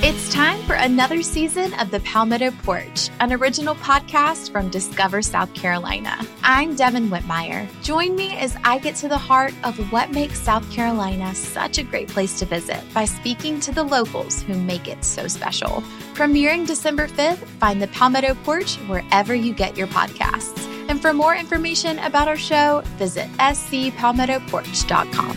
It's time for another season of The Palmetto Porch, an original podcast from Discover South Carolina. I'm Devin Whitmire. Join me as I get to the heart of what makes South Carolina such a great place to visit by speaking to the locals who make it so special. Premiering December 5th, find The Palmetto Porch wherever you get your podcasts. And for more information about our show, visit scpalmettoporch.com.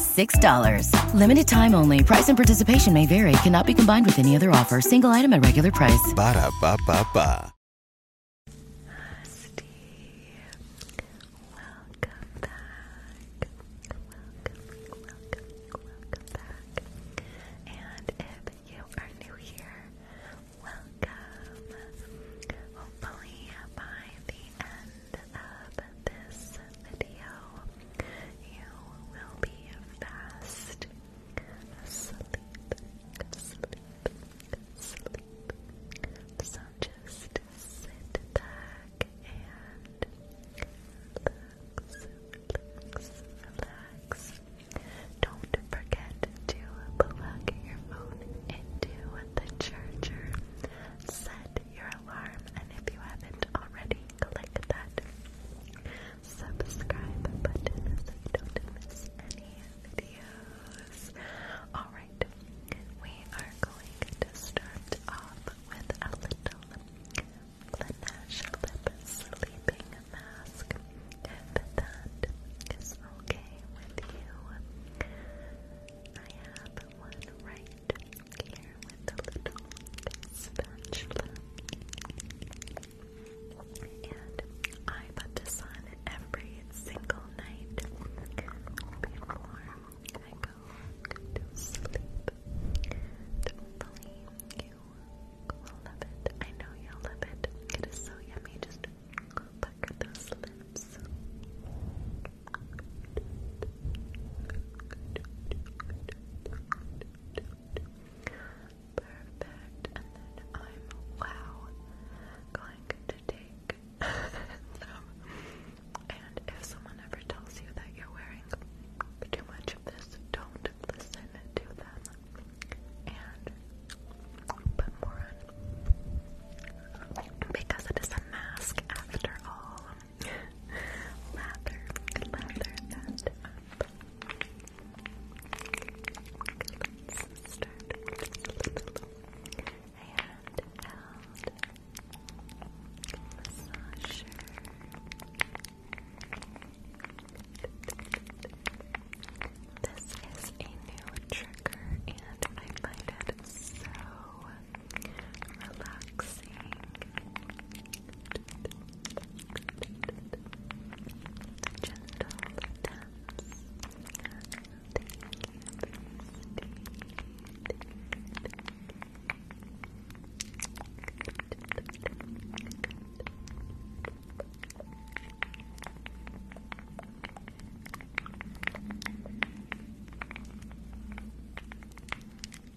$6. Limited time only. Price and participation may vary. Cannot be combined with any other offer. Single item at regular price. Ba da ba ba ba. Steve, welcome back. Welcome, welcome, welcome back. And if you are new here, welcome. Hopefully, by the end end of this video, you will be fast asleep, asleep, asleep. So just sit back and relax, relax, relax. Don't forget to plug your phone into the charger. Set your alarm, and if you haven't already, click that subscribe button so you don't miss any videos. Alright, we are going to start off with a little Laneige Lip Sleeping Mask. If that is okay with you, I have one right just here with a little spatula. And I put this on every single night before I go to sleep. Hopefully you will love it. I know you'll love it. It is so yummy. Just pucker those lips. Perfect. And then I'm going to take some. And if someone ever tells you that you're wearing too much of this, don't listen to them. And put more on because it is a mask after all lather, lather that up. start with a massager. This is a new trigger and I find it so relaxing. Gentle dance. Thank you,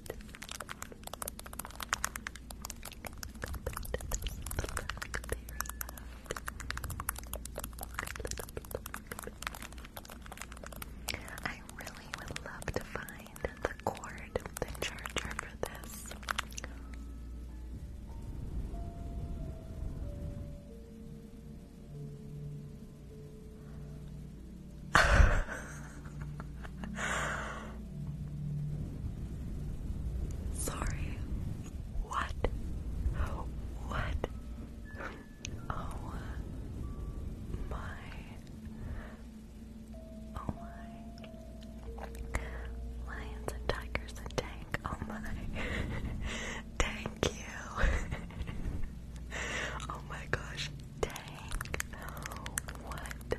I really would love to find the cord, the charger for this. Sorry. What? What? Oh my. Oh my. Lions and tigers and tank. Oh my. Thank you. oh my gosh dang. What the heck?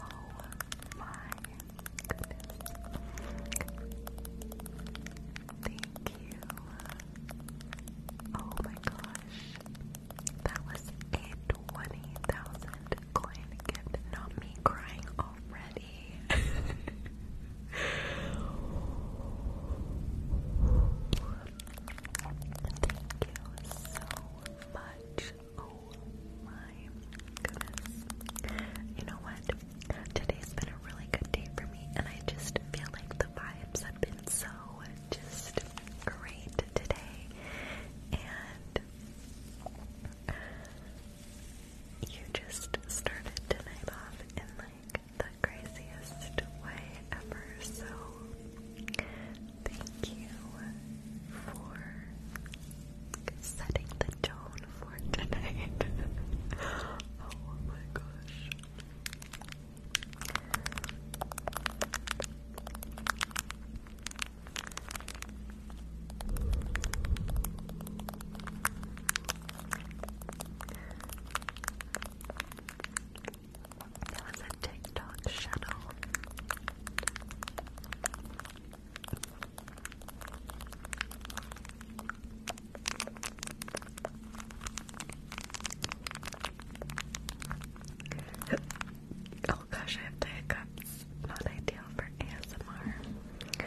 Oh my Thank you. Oh my gosh. That was a 20,000 coin gift. Not me crying already. Thank you so much. Oh my goodness. You know what? Today's been a really good day for me, and I just feel like the vibes have been so just great today. And you just started tonight off in like the craziest way ever, so thank you for setting the tone for tonight. oh my gosh. That was a TikTok channel. oh gosh, I have to hiccups. Not ideal for ASMR.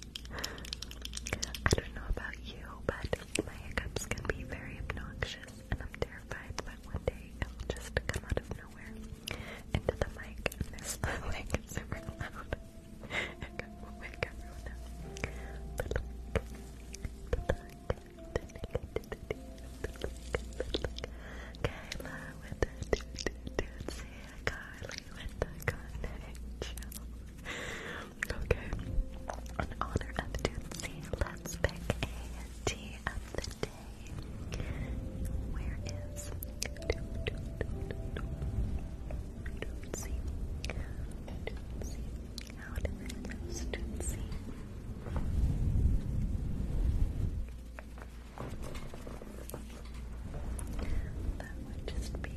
I don't know about you, but my hiccups can be very obnoxious, and I'm terrified that one day it'll just come out of nowhere into the mic, and this mic is super loud. it wake everyone up. Okay. In honor of Tootsie, let's pick a tea of the day. Where is Tootsie? Tootsie. How do I pronounce Tootsie? That would just be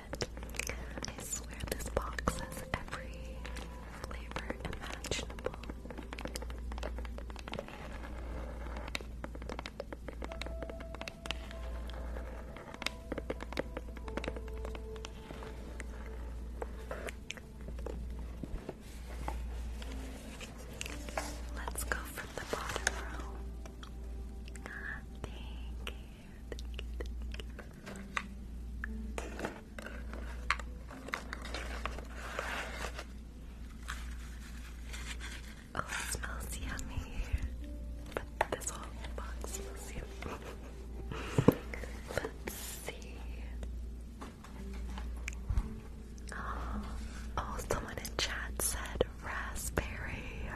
I swear this box has every flavor imaginable. Let's go from the bottom row. Ah, Thank you. Oh, it smells yummy. But this whole box smells yummy. Let's see. Oh, oh, someone in chat said raspberry.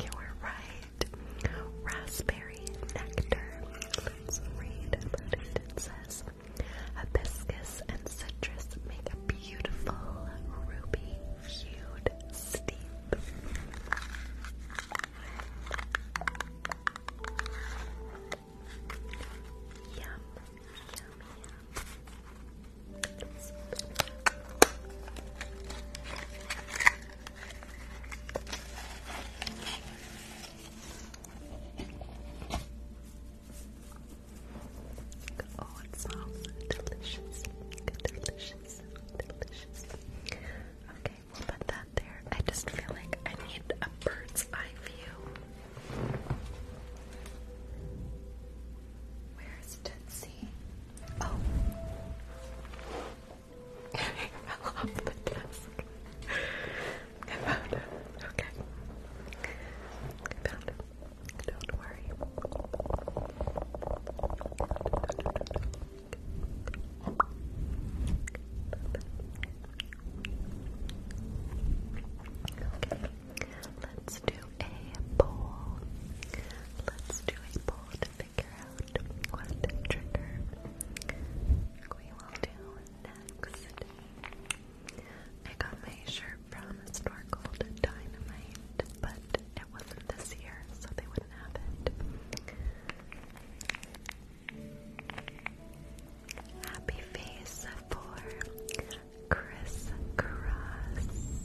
You were right right. Raspberry nectar. Let's read about it. says hibiscus and citrus make a beautiful ruby hued steep. yum. Oh, it smells delicious. Delicious. Delicious. Okay, we'll put that there. I just feel like I need a bird's eye view. Where's Tootsie? Oh. I found it. Okay. I found it. Don't worry. Okay. Let's do a poll. Let's do a poll figure out what trigger we will do next. I got my shirt from a store called Dynamite, but it wasn't this year, so they wouldn't have it. Happy face for Chris and crying face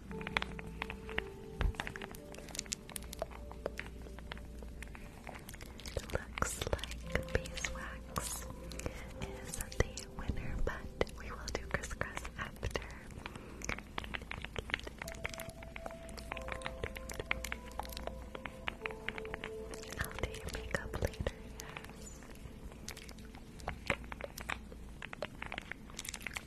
It looks like beeswax is the winner, but we will do crisscross after. I'll do your makeup later, Absolutely. Thank you.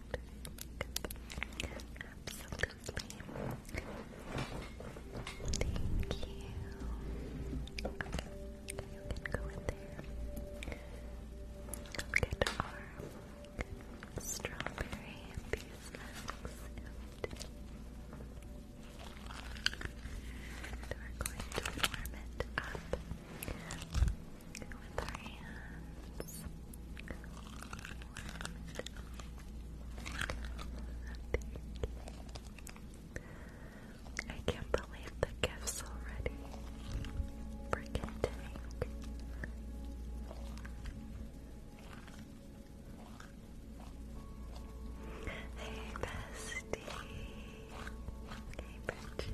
you can go in there. Look at our strawberry and And we're going to warm it up. I can't believe the gifts already. Freaking Hey, bestie. Hey, Bridget.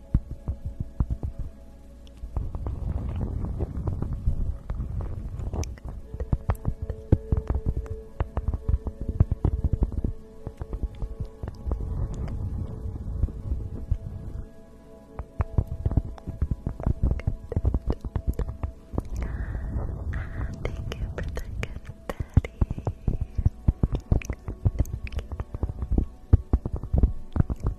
Thank you for the confetti. Thank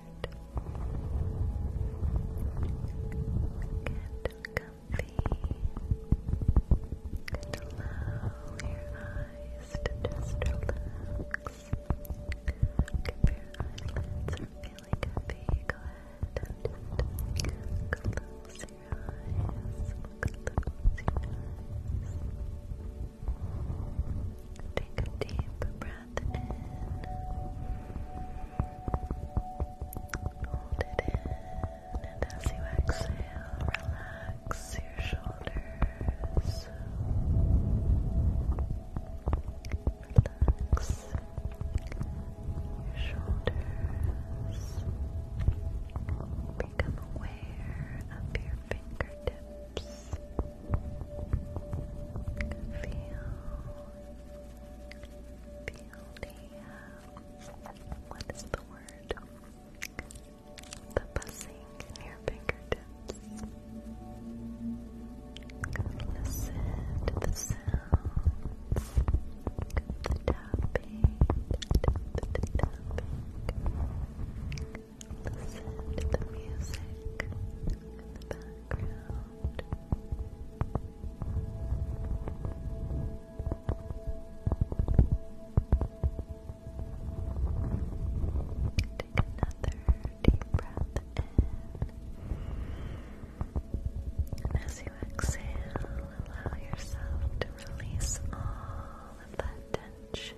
Get comfy and allow your eyes to just relax. If your eyelids are feeling heavy, go ahead and just close your eyes. Close your eyes. Take a deep breath Hold it in. And as you exhale, relax your shoulders. Relax your shoulders. Become aware of your fingertips. Feel the, what is the word? The buzzing in fingertips. Listen to the sounds, the tapping, the tapping. Listen to the music in the background sound. Take another deep breath in. And as you exhale, allow yourself to release all of that tension.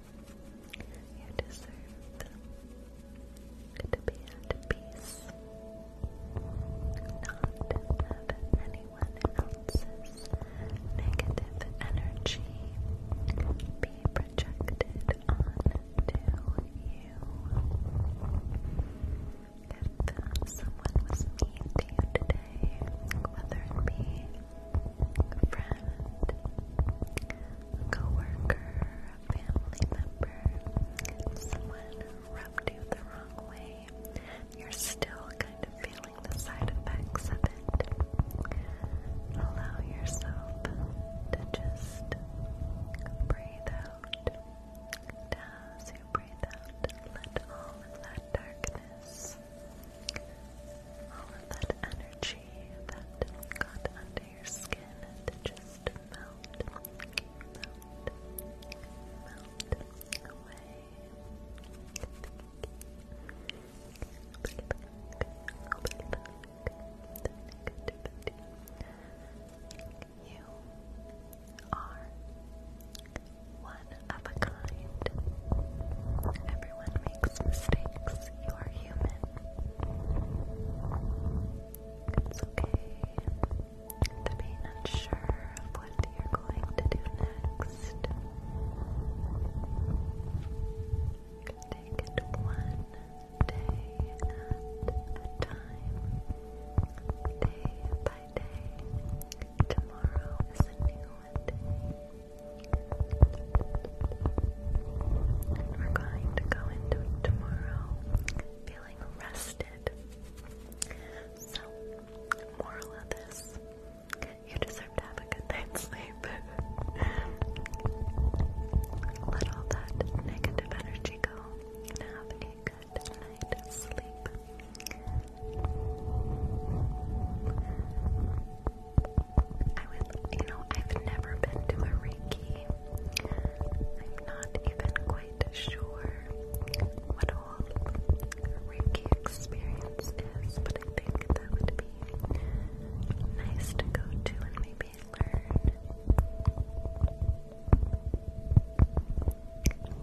You deserve to be at peace, not have anyone else's negative energy be projected onto you. If uh, someone was mean to you today, whether it be friend, coworker, family member, someone rubbed you the wrong way, you're still kind of feeling the side effects of it. Allow yourself to just breathe out. as you breathe out, let all of that darkness, all of that energy that got your skin to just melt, You are one of a kind. Everyone makes mistakes. You are human. It's okay to be unsure of what you're going to do next. Take one day at a time, day by day. Tomorrow is a new day we're going to go into tomorrow feeling rested. So, moral of this, you deserve to have a good night's sleep. Let all that negative energy go and have a good night's sleep. I would, you know, I've never been to a Reiki I'm not even quite sure what all Reiki experience but I think that would be nice to go to and maybe learn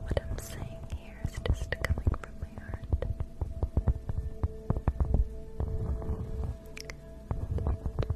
what I'm saying here is just coming from my heart.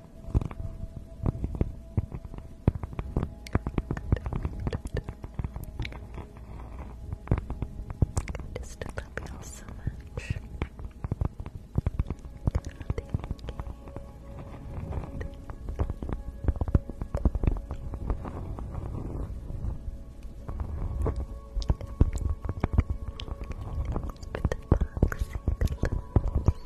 I just love you so much. With the boxing gloves.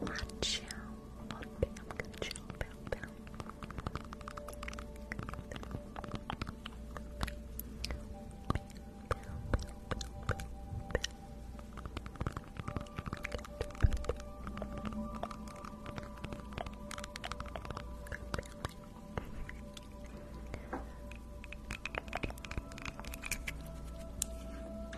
Watch out. Oh, bam, good job, bam, bam.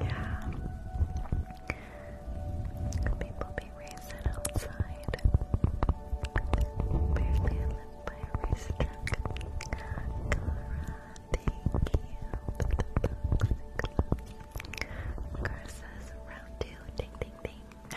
yeah. People be racing outside. Barely I by a racetrack. Cara, thank you round two, ding ding ding.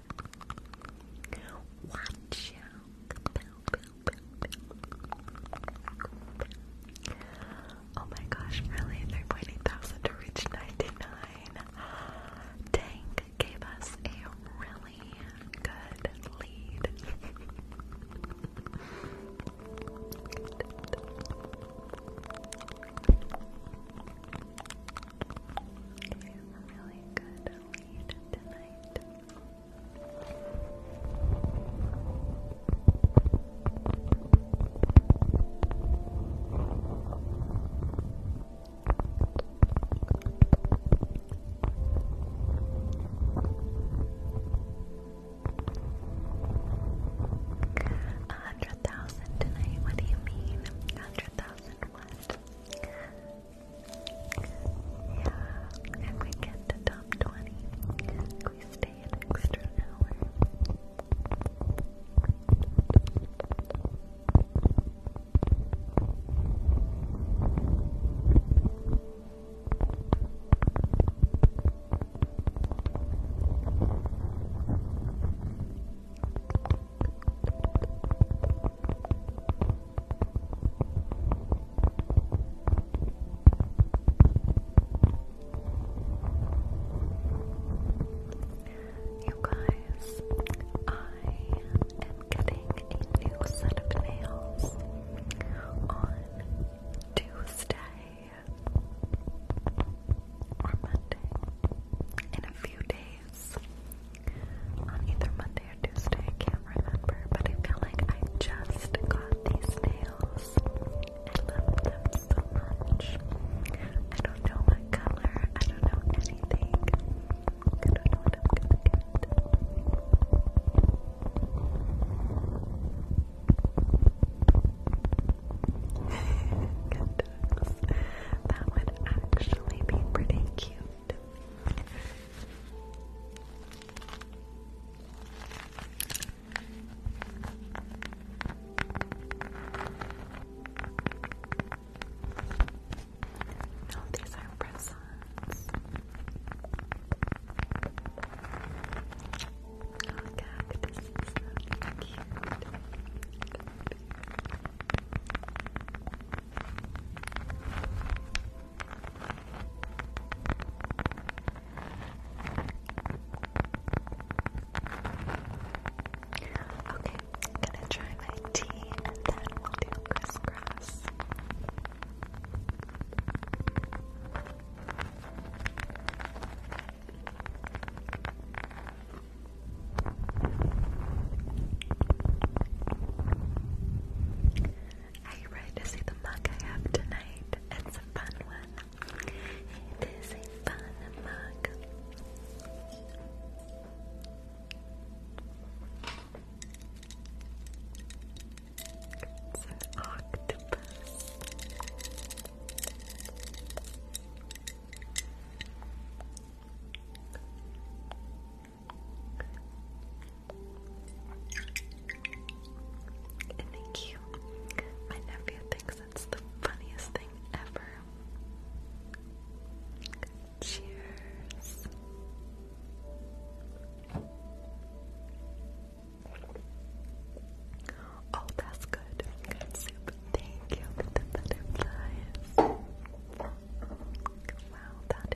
Watch out. Oh my gosh, really? 3.8 thousand to reach 99. Tank gave us a really good lead. a really good lead tonight. A hundred thousand tonight, what do you mean? A hundred thousand what? Yeah, if we get to top 20, we stay an extra hour. You guys, I am getting a new set of nails on Tuesday or Monday in a few days on either Monday or Tuesday, I can't remember, but I feel like I just got these nails. I love them so much. I don't know what color, I don't know anything. I don't know what I'm gonna get. That would actually be pretty cute. No, oh, these are presents. Oh, cactus is cute. Cute. Okay, I'm gonna try my tea and then we'll do crisscross. Are you ready to see the mug I have tonight? It's a fun one. It is a fun mug. It's an octopus thank you. My nephew thinks that's the funniest thing ever. Cheers. Oh, that's good. Good soup. Thank you the butterflies. Wow, that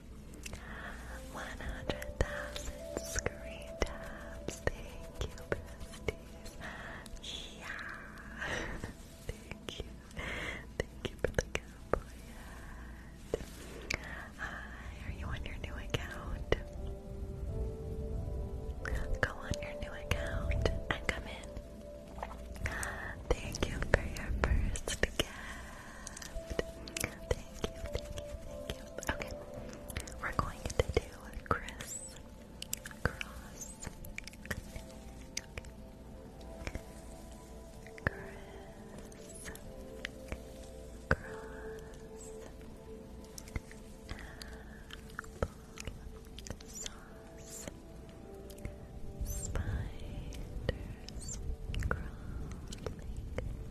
100,000 screen tabs. Thank you, besties. Yeah. Thank you. Thank you for the cowboy Hi, are you on your new account? Go on your new account and come in. Thank you for your first gift. Thank you, thank you, thank you. Okay, we're going to do Chris Cross. Chris Cross. sauce. Spiders crawling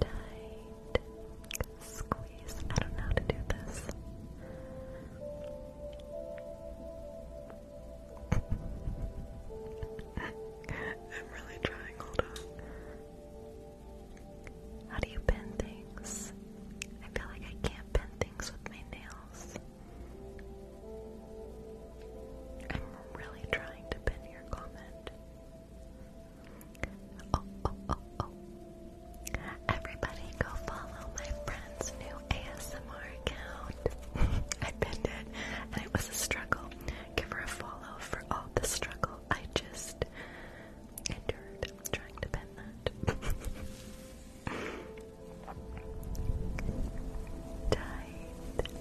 Tight. Squeeze. I don't know how to do this. I'm really trying. Hold on. How do you pin things? I feel like I can't pin things with my nails. I'm really trying to pin your comment. Everybody go follow my friend's new ASMR account. I pinned it and it was a struggle. Give her a follow for all the struggle I just endured trying to pin that. Died.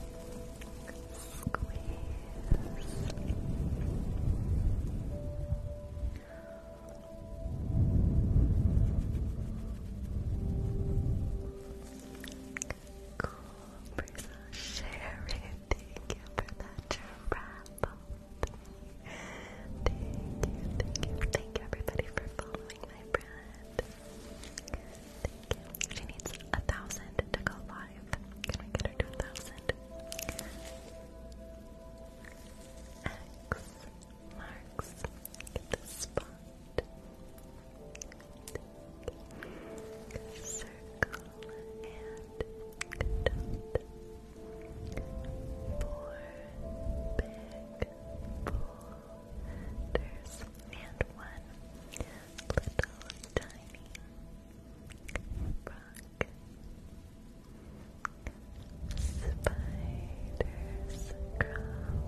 squeeze. Cool, Brisa, share it. Thank you for that giraffe. Thank you, thank you, thank you everybody for following my brand. Thank needs a thousand to go live. Can we get to a thousand? X marks the spot. Circle and dot. Four big boulders and one little tiny Spiders crawling up your back. And love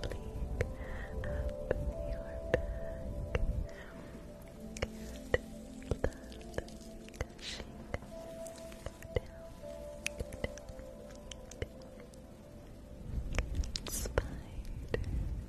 gushing down. Spiders crawling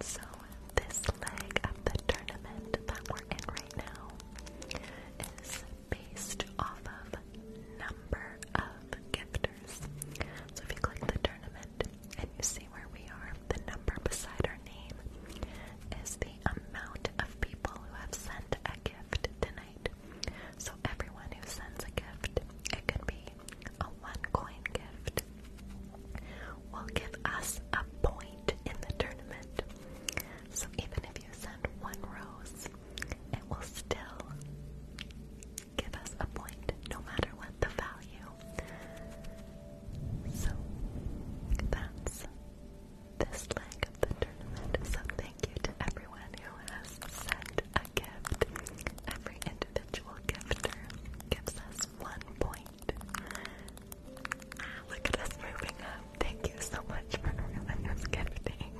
So, this leg of the tournament that we're in right now is based off of number of gifters. So, if you click the tournament and you see where we are, the number beside our name is the amount of people who have sent a gift tonight. So everyone who sends a gift, it could be a one coin gift, will give us a point in the tournament. So even if you send one rose, it will still give us a point no matter what the value. So that's this leg of the tournament. So thank you to everyone who has sent a gift. Every individual gifter gives us one point. Ah, look at us moving up. Thank you so much for everyone who's gifting.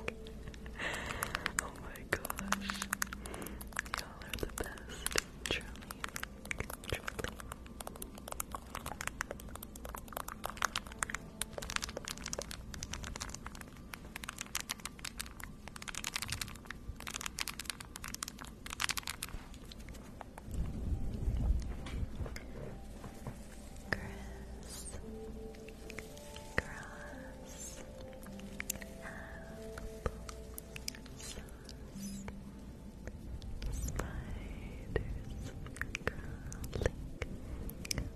oh my gosh. Y'all are the best. Truly. Truly. Chris, grass, apple, sauce, spiders, garlic,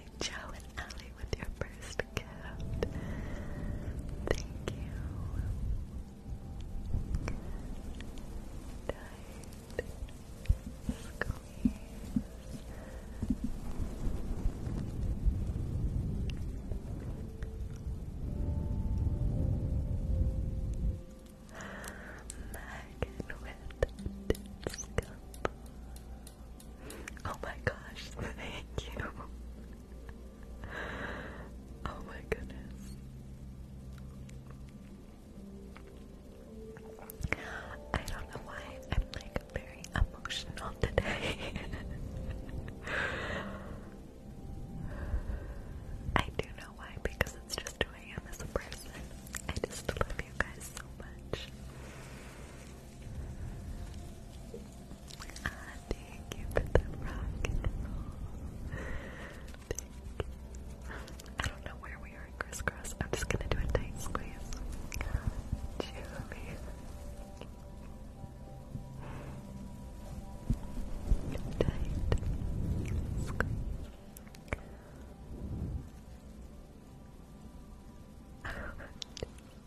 Joe and Ellie with your first gift. Thank you. Tight. Squeeze. Megan with the Oh my gosh, thank you. Oh my goodness. I don't know why I'm like very emotional today. I do know why because it's just who I am as a person. I just love you guys so much. Ah, thank you for the rock and I don't know where we are crisscross. I'm just gonna do a tight squeeze. Tight squeeze.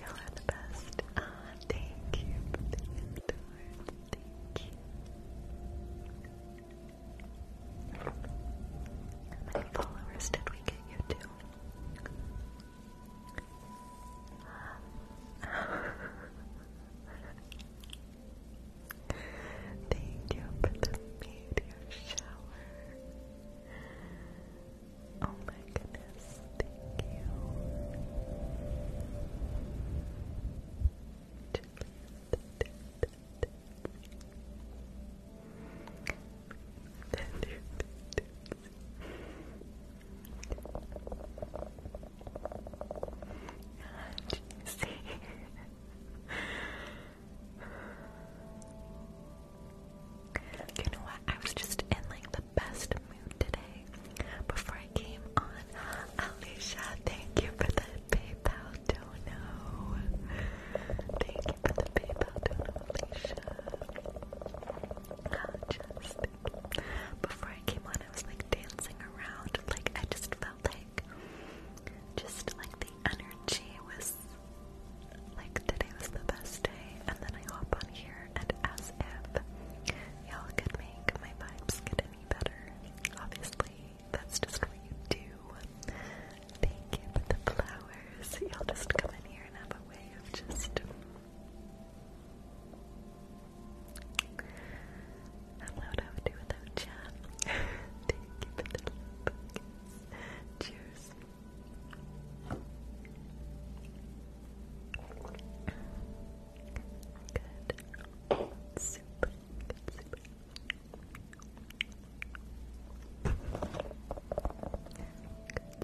Y'all are the best. Ah, thank you for the gift Thank you. How many followers did we get you Thank you for the meteor shower. Oh my Agnes, thank you. you know what? I was just in like the best mood today. Before I came on, Alicia, thank you for the PayPal dono. Thank you for the PayPal dono, Alicia. just before I came on, I was like dancing around. Like I just felt like, just like the energy was. Like today was the best day, and then I hop on here and as if y'all could make my vibes get any better. Obviously, that's just what you do. Thank you for the flowers. Y'all just come in here and have a way of just I don't know what I would do without chat. Thank you for the love. Cheers. Good. Super. super. Good,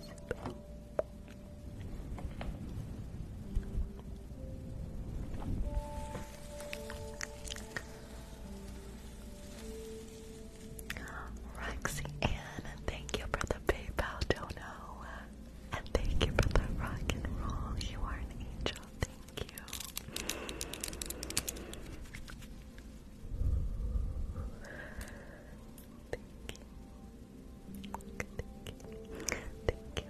super. Roxy Ann, thank you for the PayPal dono. And thank you for the rock and roll. You are an angel. Thank you. Thank you. Thank you. Thank you.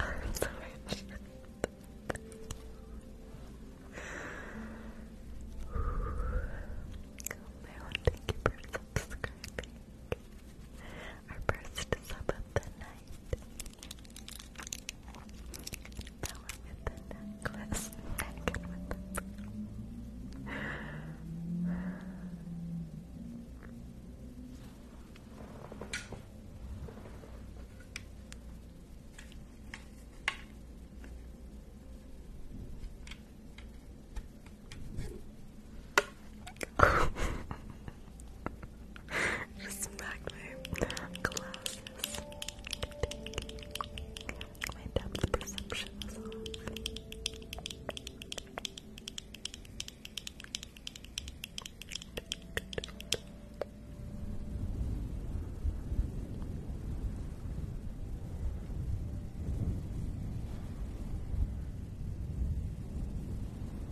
I'm sorry. Thank you for subscribing. Our first sub of the night. That one with the necklace. Naked just smack glasses. My depth perception is off.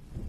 Thank you, Bella.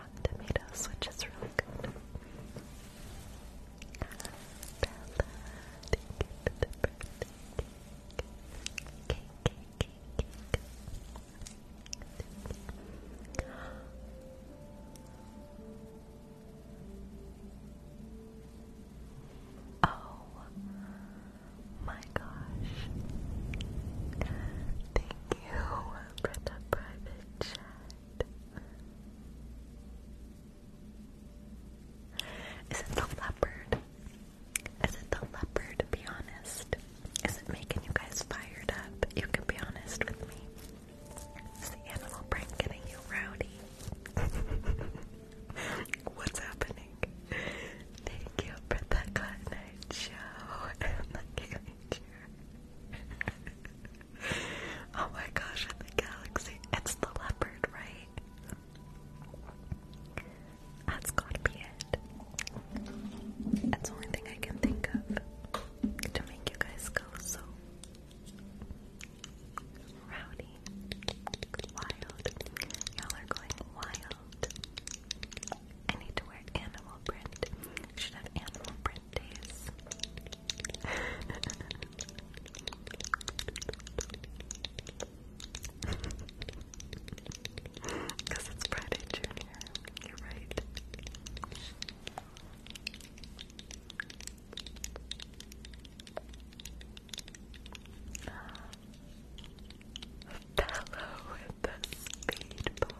Rotten Tomatoes, which is really good. Oh my gosh. Thank you, Brenda Private. Is it the leopard? Is it the leopard? Be honest. Is it making you guys fired up? You can be honest with me. Is the animal prank getting you rowdy? What's happening? Thank you for the good night show and the oh my gosh, in the galaxy. It's the leopard, right? That's gotta be it. That's the only thing I can think of to make you guys go so rowdy, wild. Y'all are going wild. I need to wear animal print. should have animal print different Because it's Friday, Junior. You're right. Fellow with the speedboat.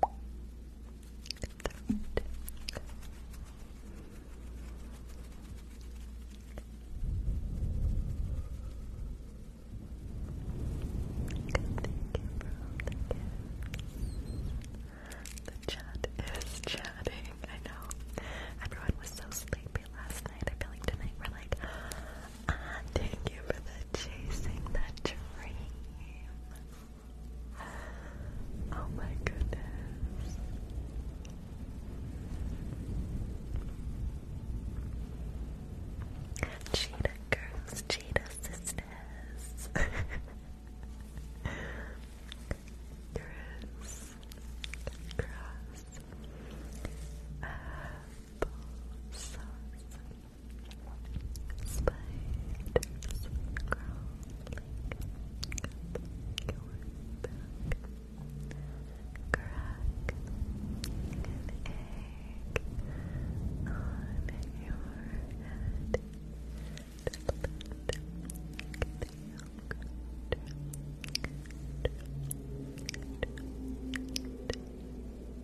throat. The chat is chatting. I know. Everyone was so sleepy last night. I feel like tonight we're like, thank you for chasing the dream. Oh my goodness. Cheetah girls, cheetah sisters. Chris, cross, apple sauce, Spiders crawling up your back. Crack an egg on your head.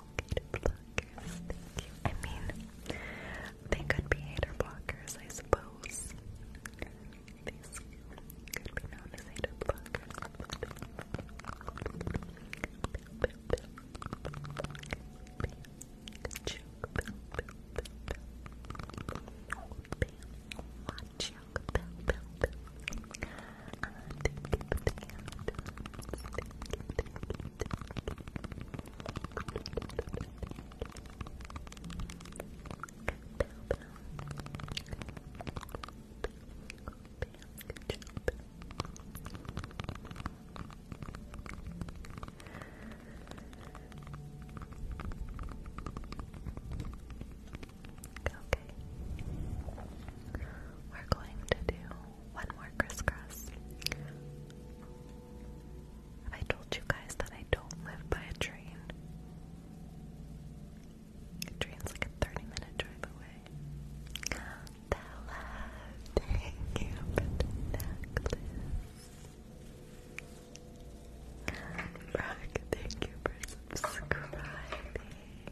Hater blockers, thank you. I mean, they could be hater blockers, I suppose. These could be known as hater blockers. Okay. We're going to do one more crisscross. I told you guys that I don't live by a train? A train's like a 30 minute drive away. Bella, thank you for the thank you for subscribing.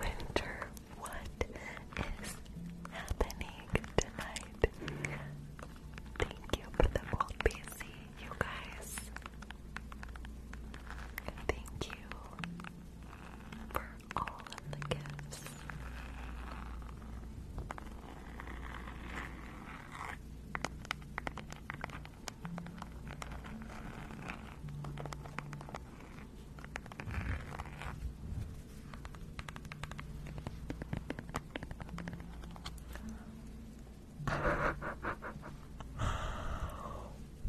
Winter, what is happening tonight? Thank you for the old PC you guys. Thank you for all of the gifts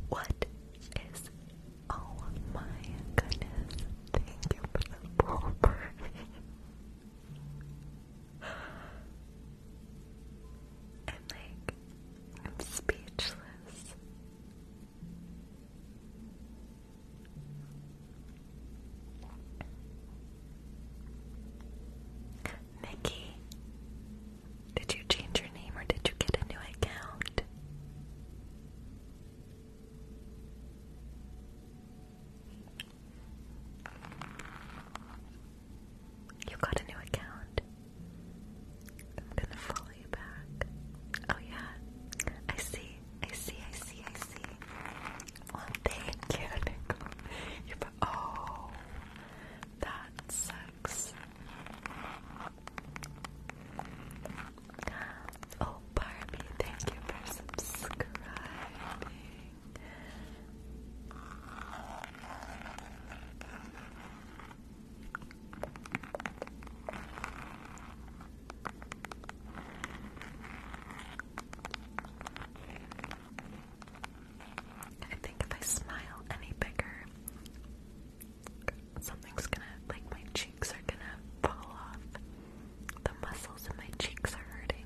what is oh my goodness? Thank you for the pulper. i like I'm speechless. Nikki, did you change your name or did you get a new account? You got a new account. I'm gonna follow you back. Oh, yeah. I see. I see. I see. I see. Well, thank you, Nicole. You Oh. That sucks. Oh, Barbie, thank you for subscribing. I think if I smile any bigger, something's gonna, like my cheeks are gonna fall off. The muscles in my cheeks are hurting.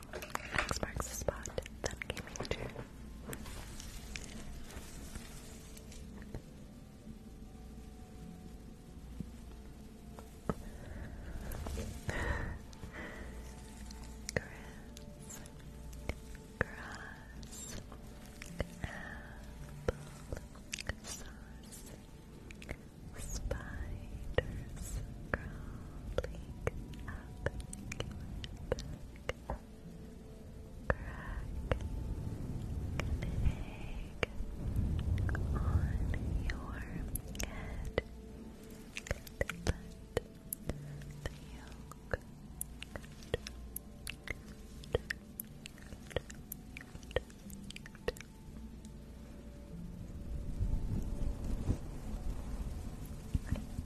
X marks the spot. Then gaming chair. Grass, grass, apple, sauce, spiders crawling up crack an egg on your head let the yolk I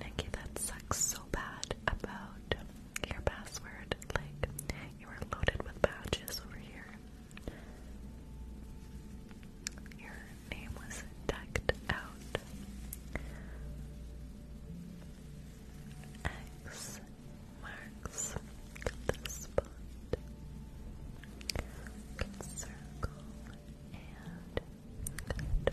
Nikki, that sucks so bad about your password. Like, you were loaded with badges over here. Your name was decked out. X marks the spot. circle and good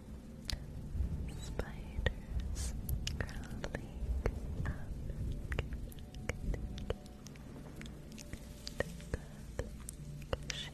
Spiders crawling up Tight squeeze.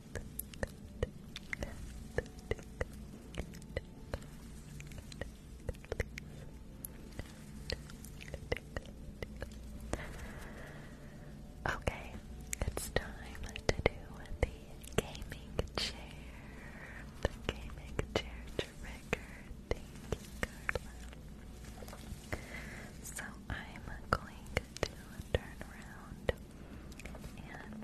Okay, it's time to do the gaming chair. The gaming chair trigger. Thank you, So I'm going to turn around and tap on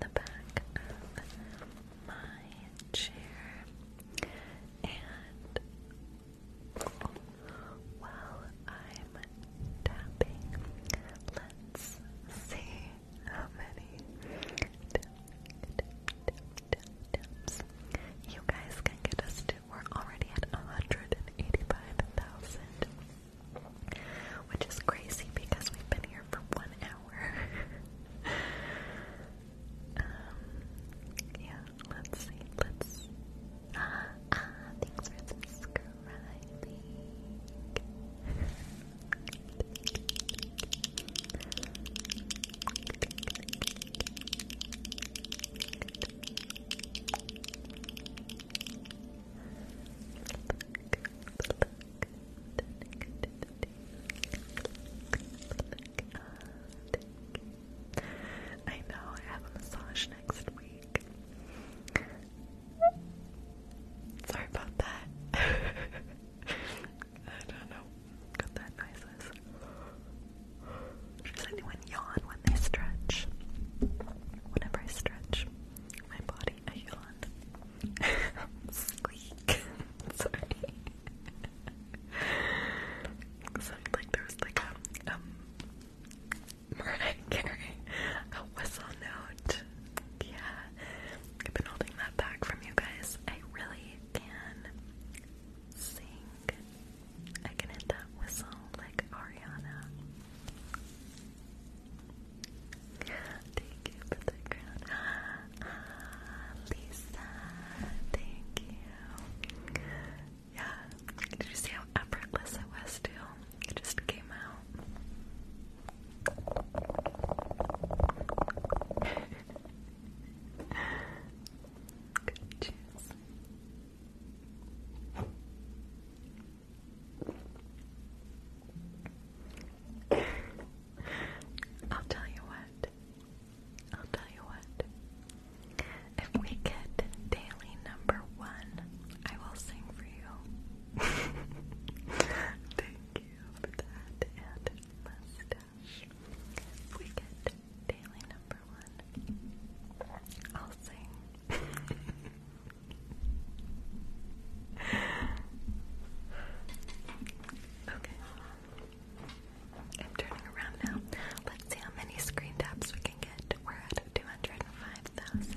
the back of my chair and while I'm tapping, let's see how many taps you guys can get us to. We're already at 185,000 which is crazy because we've been here for one hour. um, yeah, let's see. Let's. Ah, uh, ah, uh, thanks for subscribing. I know I have a massage next week. Sorry about that. I don't know what that noise is. Does anyone yawn when they stretch? Whenever I stretch, my body, a yawned. Squeak. Sorry. Sounded like there was like a um Mariah Carey, a whistle note. Yeah, I've been holding that back from you guys. I really can sing. I can hit that whistle like Ariana. Thank you for the crown. Lisa, thank you. Yeah, did you see how effortless it was too? It just came out. Good, cheers. I'll tell you what. I'll tell you what. If we get daily number one, I will sing for you. Thank you for that and mustache. we get daily number one, I'll sing. Okay. I'm turning around now. Let's see how many screen taps we can get. We're at 205,000.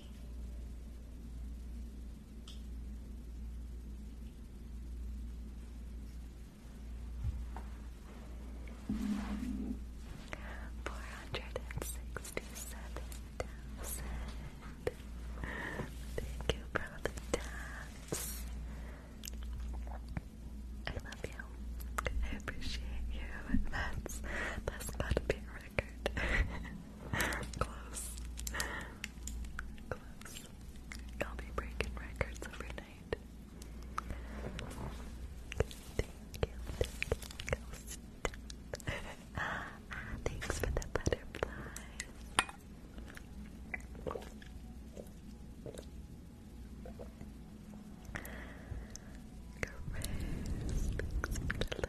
Four hundred and sixty-seven thousand. Thank you for the taps. I love you. I appreciate you. That's that's about to be a record. Close. Close. I'll be breaking records every night. Ah, thanks for the butterflies. Grace,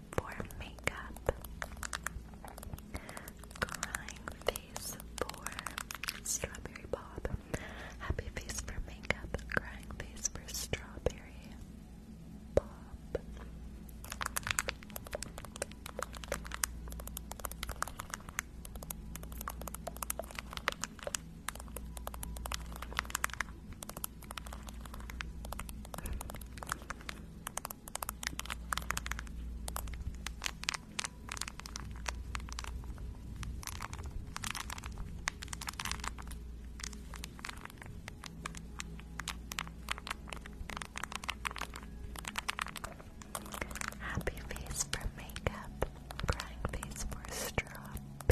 for makeup, crying face for strawberry bob, happy face for makeup, crying face for strawberry bob. Happy face for makeup, crying face for strawberry.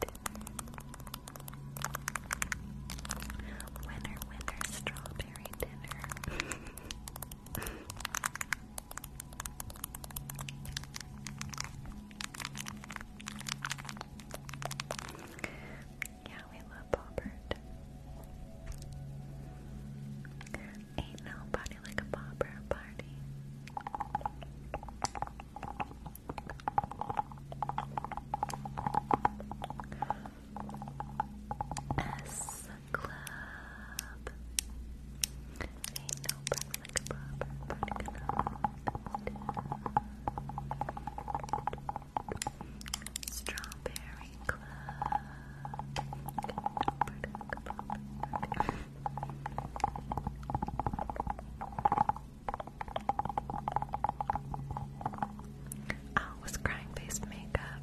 dinner. Winner, strawberry dinner. Yeah, we love Bobbert. Ain't nobody like a bobber party. S Club. Ain't no breath like a proper Strawberry Club. Oh, was crying face makeup.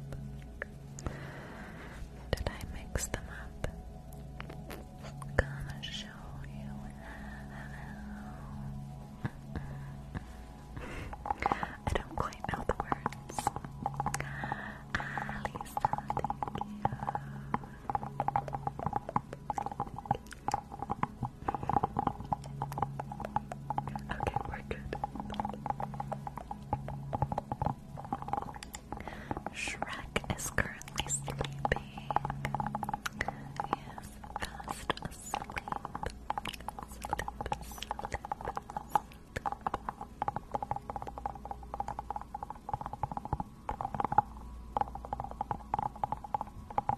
Did I mix them up? Gonna show you how. I don't quite know the words. Alisa, ah, thank you. Okay, we're good. Shrek is currently sleeping. He is fast asleep. I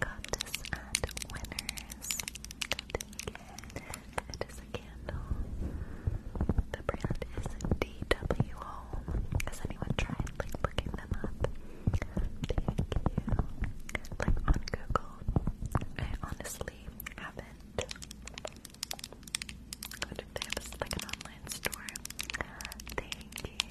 got this at Winners. It is a candle. The brand is DW Home. Has anyone tried like looking Thank you. Like on Google, I honestly haven't. What if they have a, like online store? Thank you.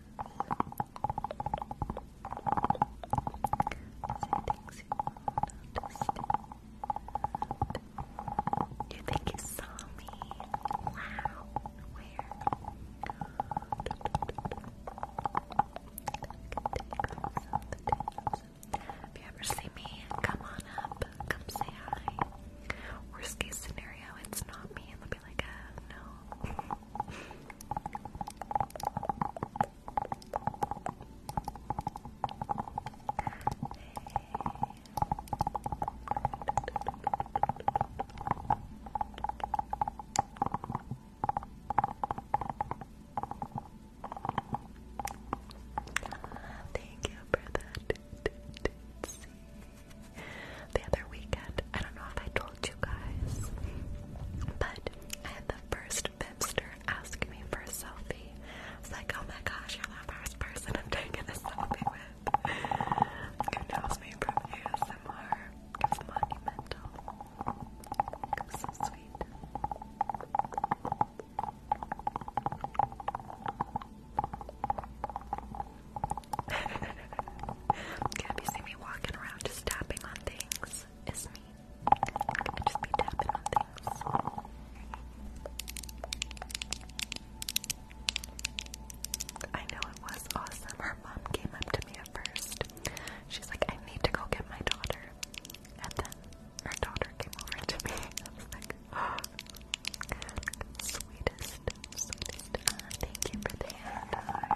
you think you saw me? Wow, where? If you ever see me, come on up, come say hi. Worst case scenario, it's not me, and they'll be like, uh, no. Thank you for that. The other weekend, I don't know if I told you guys. But I the first Fipster ask me for a selfie. I like, oh my gosh, you're the first person I'm taking a selfie with. knows me from ASMR? It's monumental. It's so sweet. Gabby, see me walking around just tapping on things. It's me. I just be tapping on things. I know it was awesome. Her mom came up to me at first. She's like, I need to go get my daughter. And then her daughter came over to me. I was like, oh, Sweetest, sweetest. Uh, thank you for the uh,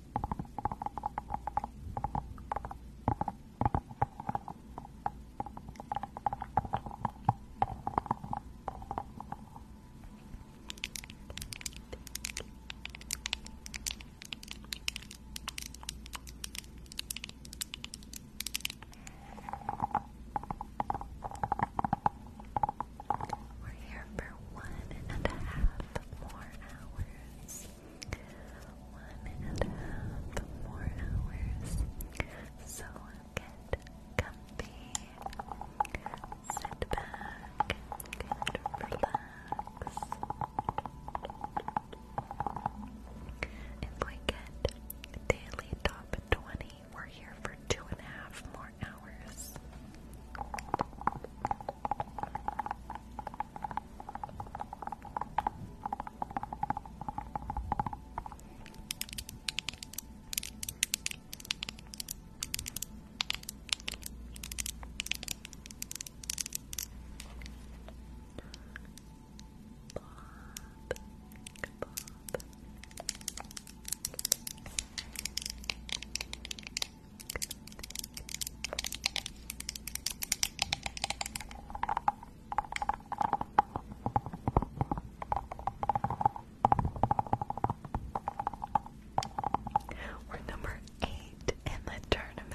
We're here for one and a half more hours one and a half more hours. So get comfy, sit back, and relax. If we get daily top 20, we're here for two and a half more hours. Bob. We're number eight in the tournament.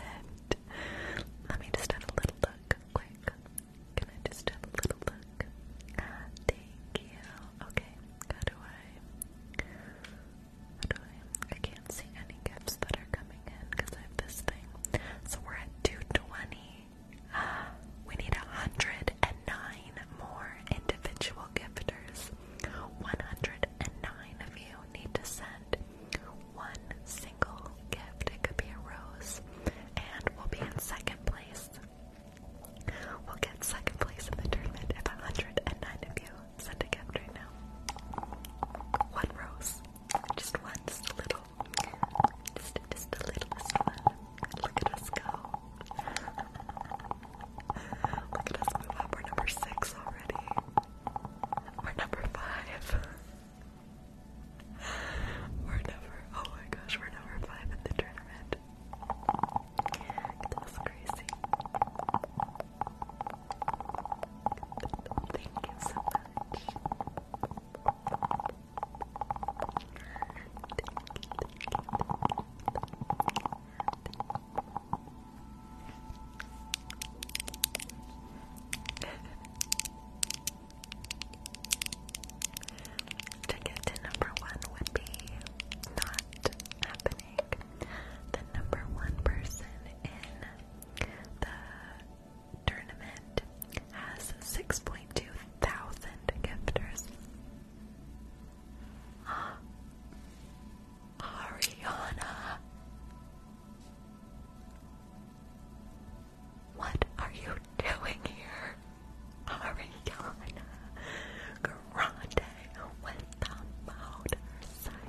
Let me just have a little look, quick. Can I just have a little look? Ah, thank you. Okay, how do I? can't see any gifts that are coming in because I have this thing. So we're at 220. We need 109 more individual gifters. 109 of you need to send one single gift. It could be a rose, and we'll be in second place. We'll get second place in the tournament if 109 of you scented cat right now. One rose. Just one, just a little. Just, just the littlest one. Look at us go. Look at us move up. We're number six already. We're number five. We're number, oh my gosh, we're number five at the tournament. That's crazy. Thank you so much. Ticket to number one would be not happening. The number one person in the tournament has 6.2 thousand gifters. Ariana, what are you doing here? Ariana Grande with the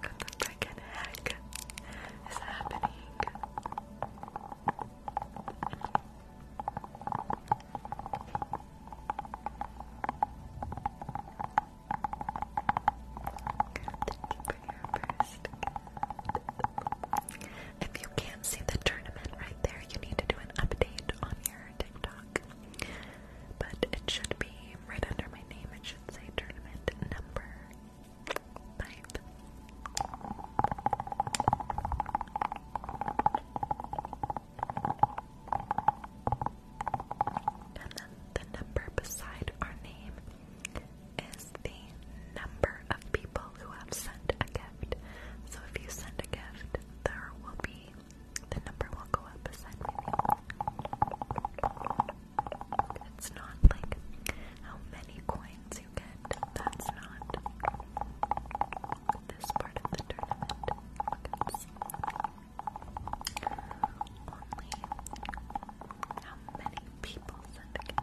What the frickin' heck is happening? If you can't see the tournament right there, you need to do an update on your TikTok. But it should be right under my name, it should say tournament number five. And then the number beside our name is the number of people who have sent a gift. So if you send a gift, there will be the number will go up beside me. It's not like how many coins you get. That's not this part of the tournament. only how many people send a gift.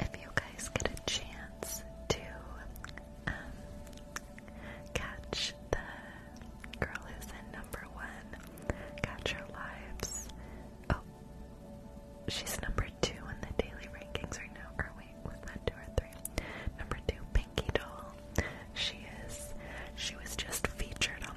If you guys get a chance to um, catch the Girl is in number one. Catch her lives. Oh, she's number two in the daily rankings right now. Or wait, was that two or three? Number two, Pinky Doll. She is. She was just featured on.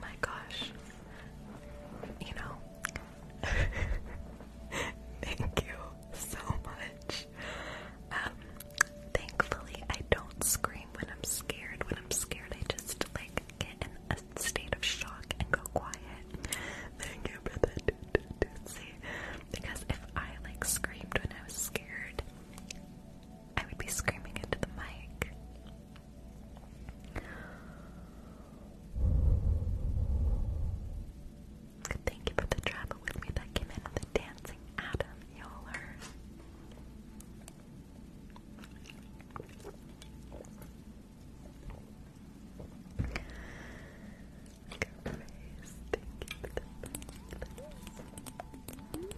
my gosh. You know, thank you so much. Um, thankfully, I don't scream when I'm scared. When I'm scared, I just like get in a state of shock and go quiet. Thank you for that, Because if I like screamed when I was scared, I would be screaming into the mic. Thank you for the travel with me that came in with the dancing Adam Yoler. Thank you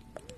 for the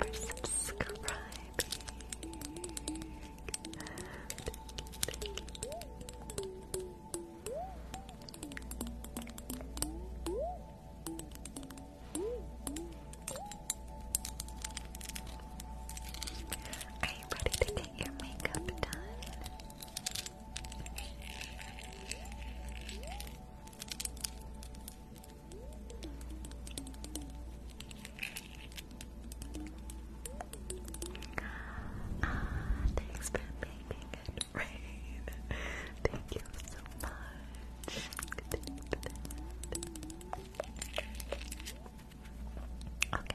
Thank you for subscribing. Are you ready to get your makeup done? Ah, thanks for making it rain. Thank you so much. Okay.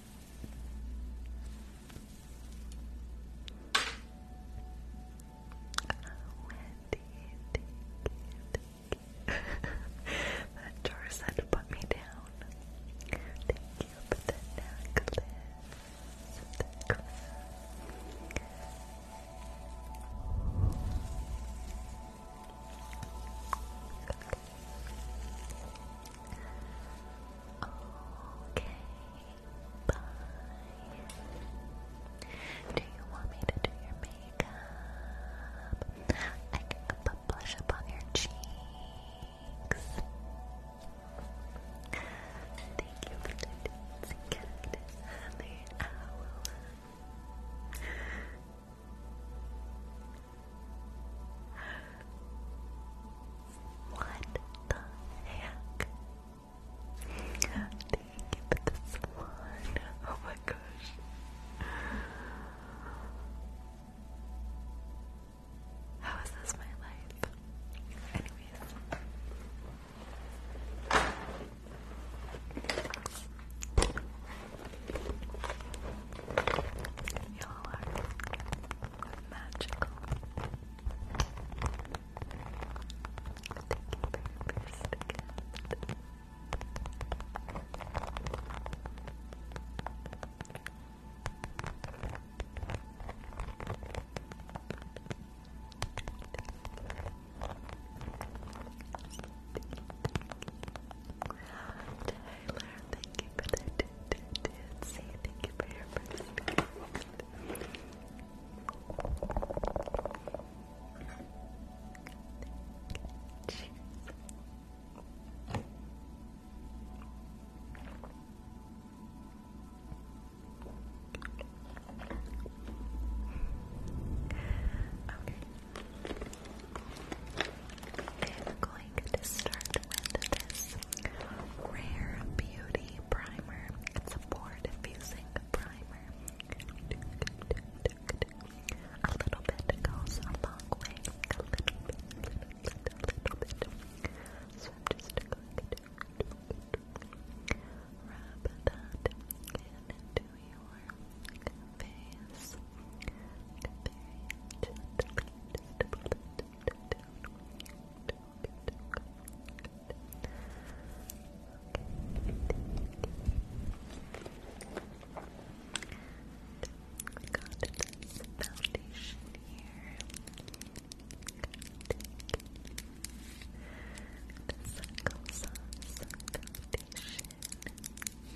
Wendy, thank you, that jar put me down. Thank you for The necklace. Okay, do you want me to do your makeup? I can put blush up on your cheeks. Thank you what the heck? Thank you for the salon. Oh my gosh. How is this my life? Anyways. Y'all are Thank you Taylor, thank you for the do thank you for your first I'm going to start with this rare beauty a primer. It's a pore diffusing primer. A little bit goes a long way. A little bit, little bit, little bit. So just rub that into your face. We got this foundation here. This goes on some foundation.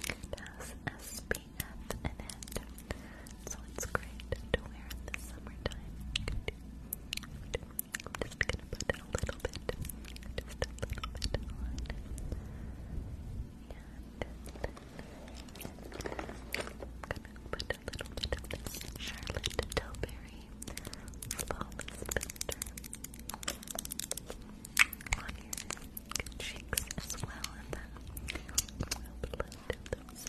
It has SPF in it, so it's great to wear in summertime. I'm gonna put a little bit, just a little bit on. And I'm gonna put a little bit of Charlotte Tilbury Flawless Builder on your cheeks as well, and then I'll blend those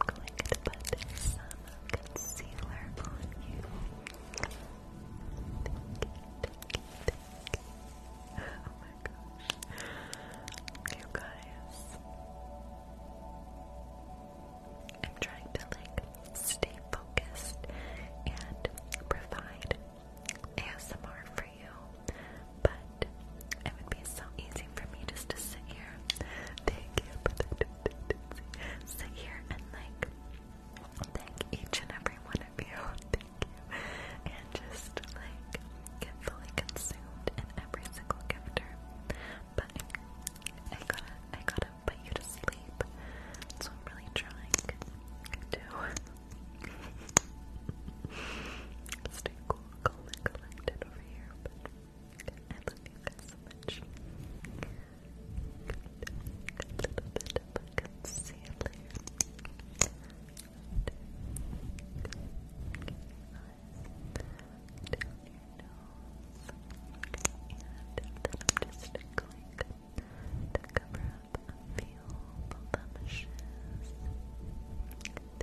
I'm going to put some concealer on you. Oh my gosh. You guys. I'm trying to like stay focused and provide ASMR for you, but it would be so easy for me just to sit here. sit here and like thank each and every one of you. Thank you. And just like get fully consumed in every single gifter. But I, gotta I gotta put you to sleep. So I'm really trying to stay cool, calm and collected over here. I love you guys so much. Good. Good little bit of a concealer. Good. Good. And then I'm just going to cover up a few blemishes. There we go.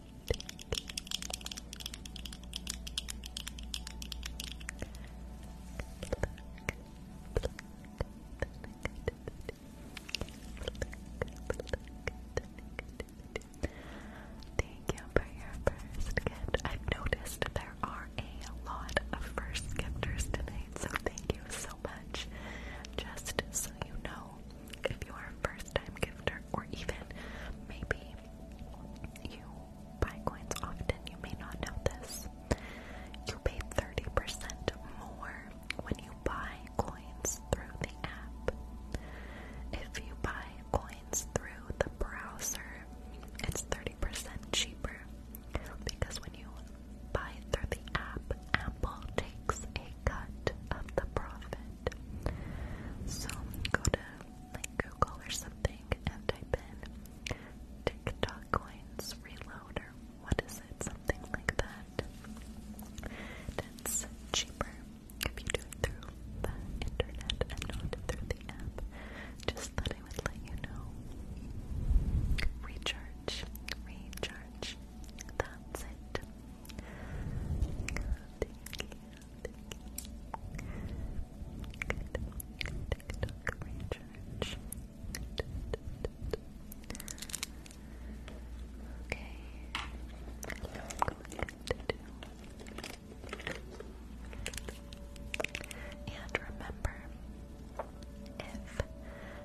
Thank you for your first gift. I've noticed there are a lot of first gifters tonight, so thank you so much. Just so you know, if you are a first time gifter, or even maybe you buy coins often, you may not know this. You pay 30% more when you buy coins through the app. If you buy coins through the browser, it's 30% cheaper because when you buy through the app, Apple takes a cut of the profit. So go to like Google or something and type in TikTok coins reload or what is it? Something like that. And it's cheaper if you do it through the internet and not through the app. Just thought I would let you know. Recharge, recharge. That's it. Thank you. TikTok Ranch. Okay. And remember,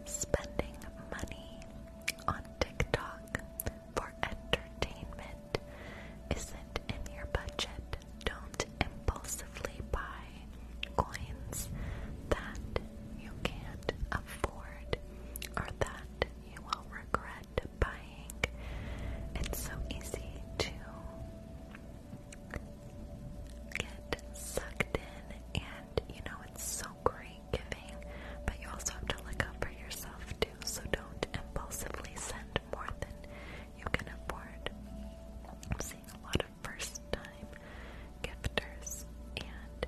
if spending money on TikTok for entertainment that isn't in your budget. Don't impulsively buy coins that you can't afford or that you will regret buying. It's so easy to get sucked in, and you know, it's so great giving, but you also have to look out for yourself too. So don't impulsively send more than you can afford. I'm seeing a lot of first time gifters and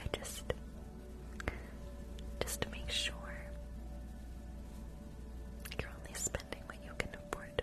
I just just to make sure you're only spending what you can afford.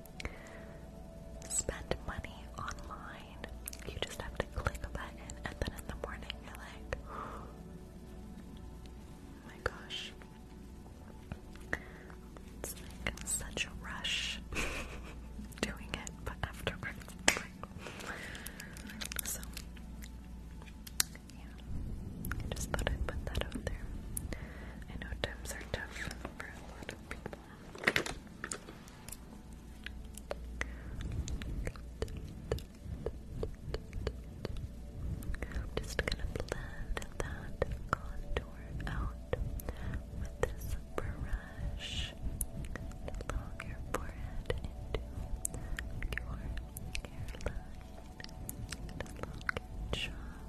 spend money online. You just have to click a button, and then in the morning you're like, oh my gosh. It's like such a rush doing it, but afterwards, so yeah, I just thought i put that out there. I know times are tough for a lot of people. I'm just gonna blend that contour out with this brush along your forehead into your hairline. along your jawline.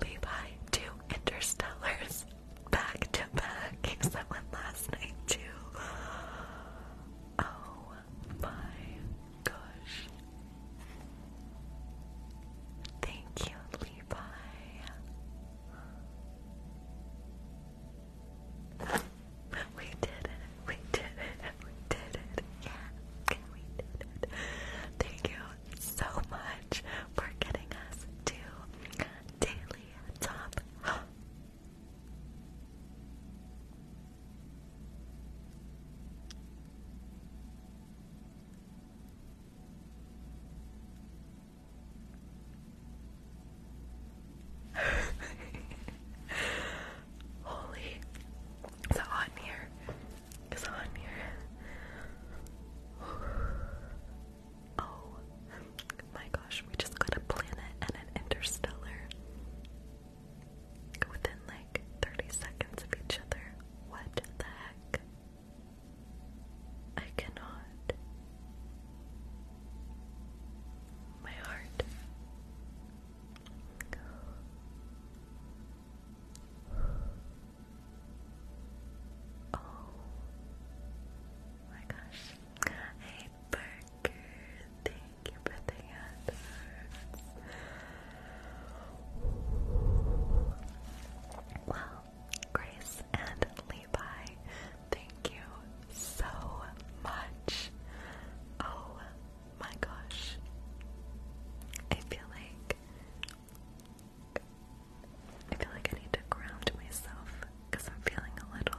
Levi, two interstellars back to back because that last night too. Oh my gosh. Thank you, Levi. We did it. We did it. We did it. Yeah. We did it. Thank you so much for getting us to daily top Holy, it's hot here. It's hot here. Oh my gosh, we just got a planet and an interstellar within like 30 seconds of each other. What the heck? I cannot. My heart. Oh my gosh. Parker. Thank you for the answer. Well, Grace and Levi, thank you so much. Oh my gosh. I feel like I feel like I need to ground myself because I'm feeling a little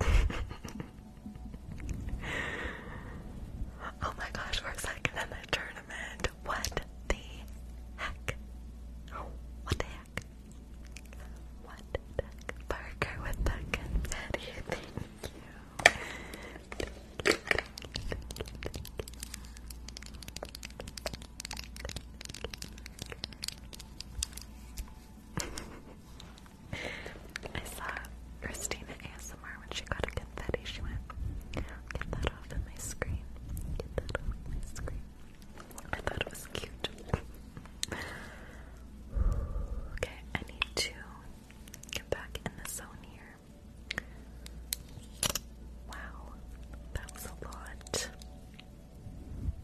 oh my gosh, we're second in the tournament. What the heck? what the heck? What Parker with the confetti. you. Thank you. I saw Christina ASMR when she got a confetti. She went, get that off my screen. Get that off my screen. I was cute. okay, I need to get back in the zone here. Wow, that was a lot.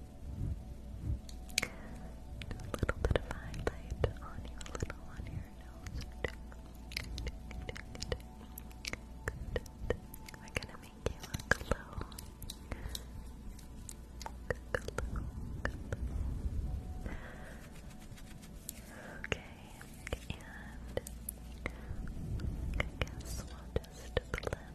Do a little bit of highlight on you, a little on your nose. Good. we gonna make you glow. Okay, and I guess we'll just blend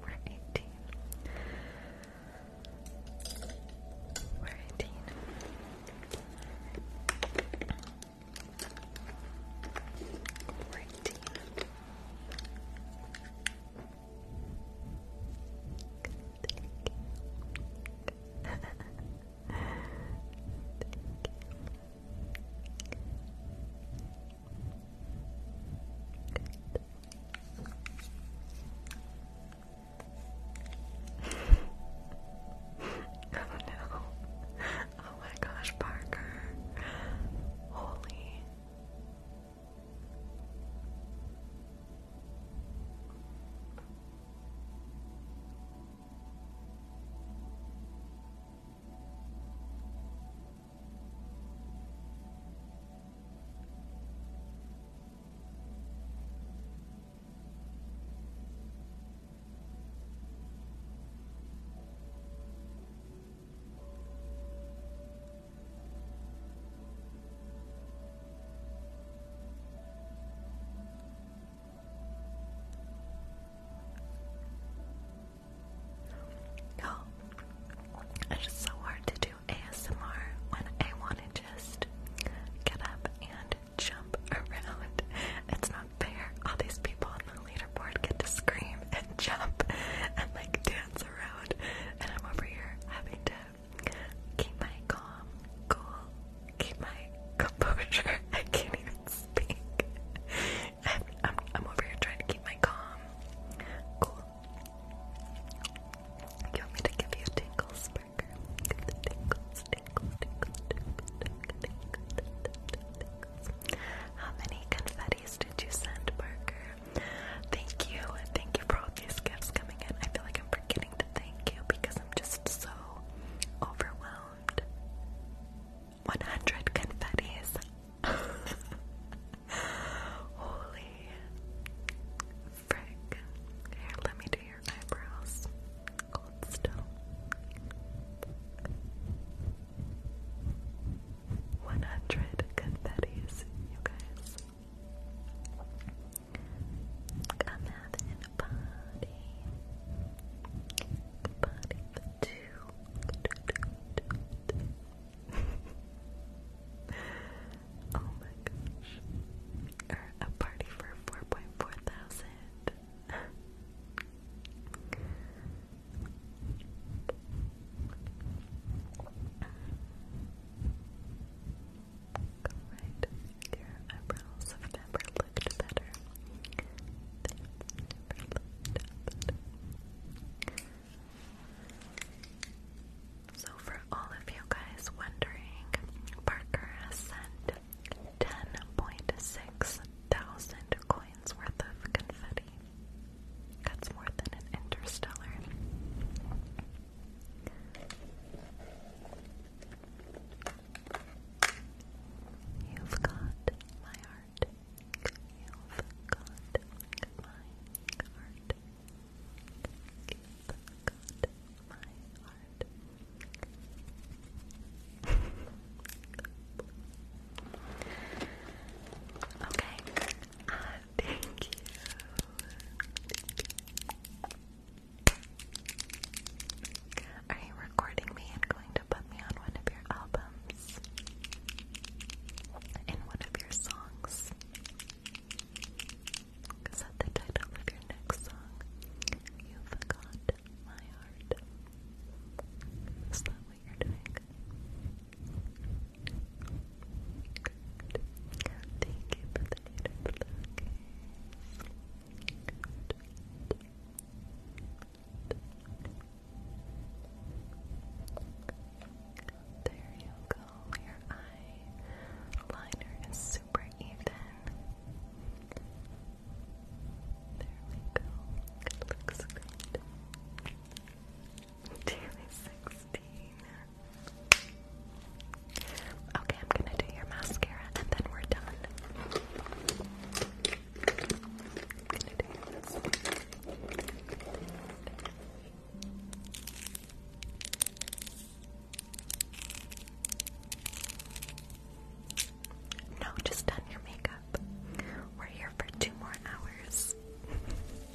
We're eighteen. We're eighteen. Quarantine. Thank you. oh no. Oh my gosh, Parker. Holy. No, it's so hard to do ASMR when I want to just get up and jump around. It's not fair. All these people the leaderboard get to scream and jump and like dance around, and I'm over here having to keep my calm, cool, keep my composure. I can't even speak. i I'm, I'm over here trying to keep my calm, cool. You want me to give you tingles, Parker? Give the tingles, tingles, tingles, tingles, tingles, tingles, tingles. How many confetti? did you send, Parker? Thank you, thank you for all these gifts coming in. I feel like I'm forgetting to thank you because I'm just so overwhelmed. 100 confettis. Holy frick. Here, let me do your eyebrows. Hold still. 100 confetti, you guys. I'm having a party. Oh a party for 4.4 thousand. Alright, your eyebrows have never looked better. So for all of you guys wondering, Parker has sent 10.6 thousand coins worth of confetti. That's more than an interstellar. You've got my heart. You've got my heart. You've got my heart. Okay. Uh, thank you. Are you recording me and going to put me on one of your albums? In one of your songs? Is the title of your next song? You forgot my heart. Thank you for the native location. There you go. Your eye liner is super even. There we go. It looks good. Okay, I'm gonna do your mascara and then we're done. No, just done your makeup. We're here for two more hours.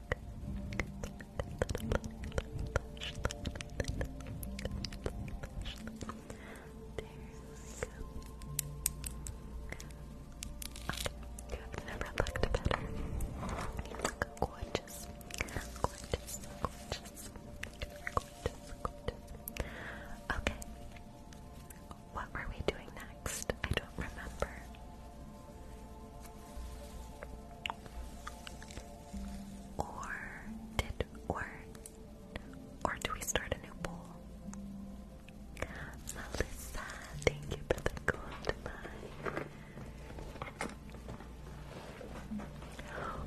I've never looked better. You gorgeous. Gorgeous, gorgeous. Gorgeous, gorgeous. Okay. What were we doing next? I don't remember. Or did or or do we start a new poll? Melissa, thank you for the gold mine.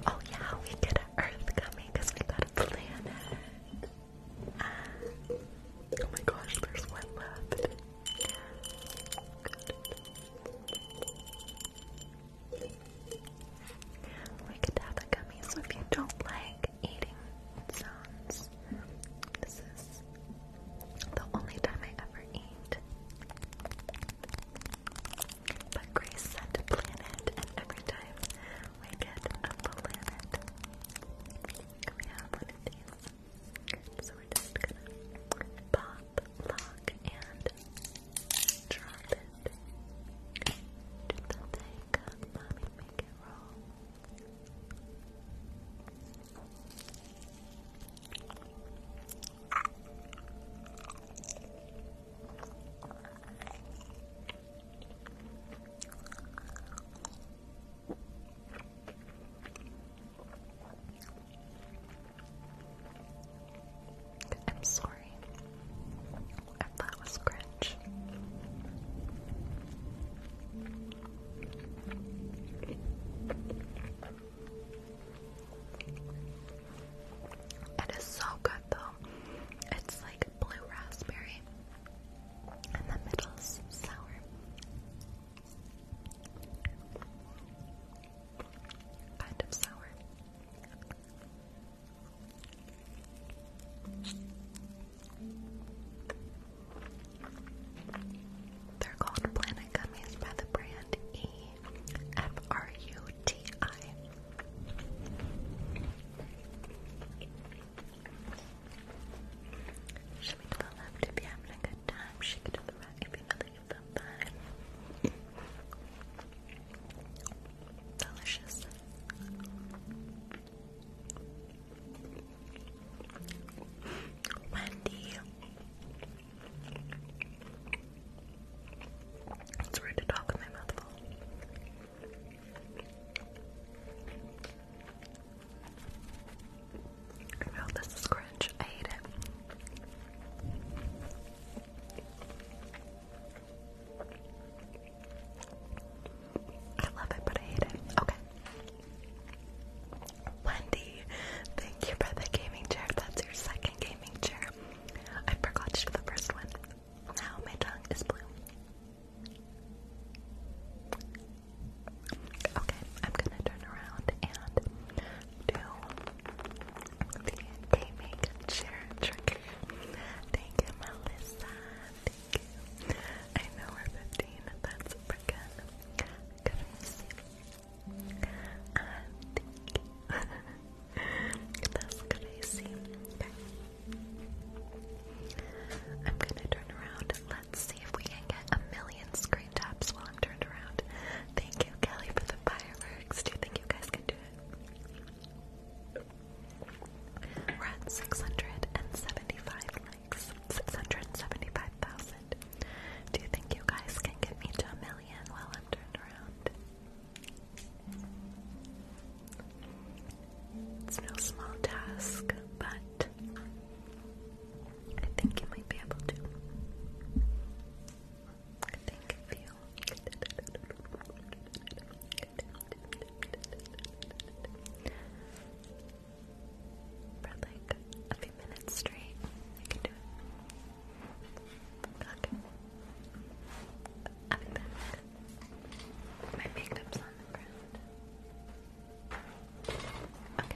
Oh yeah, we get an Earth coming we got a planet. Ah. Oh my gosh, there's one left. We could have the gummies if you don't like eating sounds. This is the only time I ever eat. But Grace sent a planet, and every time we get a planet, we have one of these. So we're just gonna pop, lock, and drop it. Do the thing, mommy, make it roll. I'm sorry if that was cringe. It is so good though. It's like blue raspberry, and the middle's sour. Kind of sour. They're called Planet by the brand E F R U T I. Shake to the left if you're having a good time. Shake to the right if you're not Delicious. Wendy. It's rude to talk with my mouth full. I know this is cringe. I hate it. I love it, but I hate it. Okay. Wendy, thank you for the gaming chair. That's your second gaming chair. I forgot to the first one. Now my tongue is blue. Okay, I'm gonna turn around and to the gaming chair trigger. Thank you, Melissa. Thank you. I know we're 15, that's freaking good that's crazy. I'm gonna turn around let's see if we can get a million screen taps long turnaround. Thank you, Kelly, for the fireworks. Do you think you guys can do it? We're at 675 likes. 675,000. Do you think you guys can get me to a million while I'm turned around? It's no small task, but I think you might be able to. Thank you. For like a few minutes straight, I can do it. Okay. I'll My makeup's on the ground. Okay.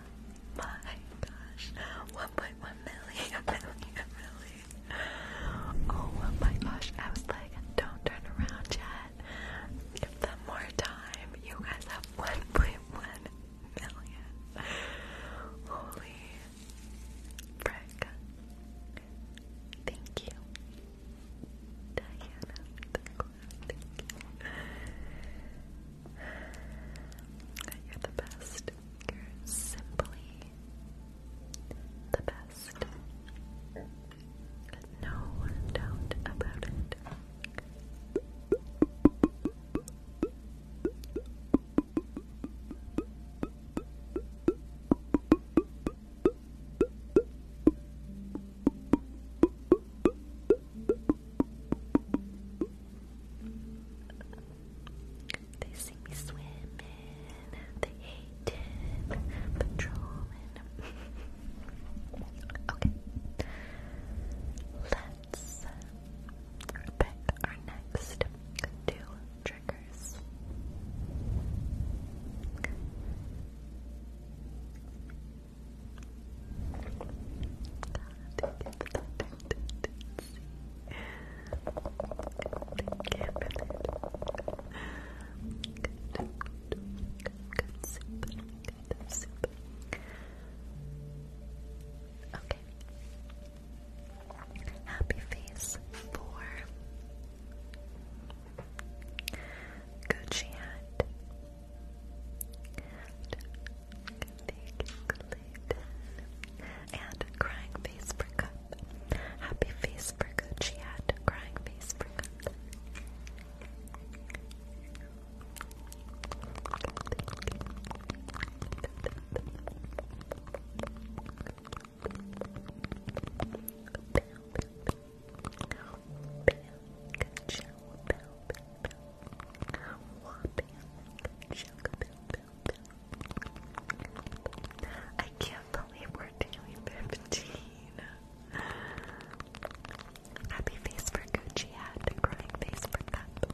my gosh. 1.1 million, Oh, my gosh. I was like, don't turn around yet. Give them more time. You guys have 1.1 million. Holy frick. Thank you. Diana, thank you. You're the best. You're simply the best. No doubt about it. They see me swimming, they hating, patrolling. okay, let's pick our next two triggers. Good soup. Okay. Happy face four. Gucci Thank you, And crying face for cup. Happy face for good. She had crying face for cup. I can't believe we're doing 15. Happy face for Gucci hat, crying face for cup.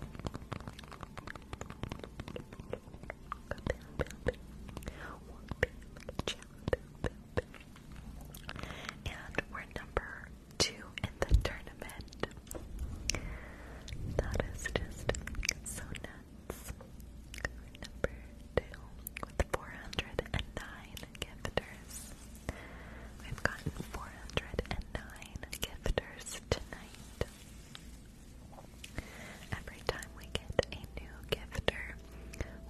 And we're number two in the tournament. That is just so nuts. Number two with 409 gifters. We've gotten 409 gifters tonight. Every time we get a new gifter,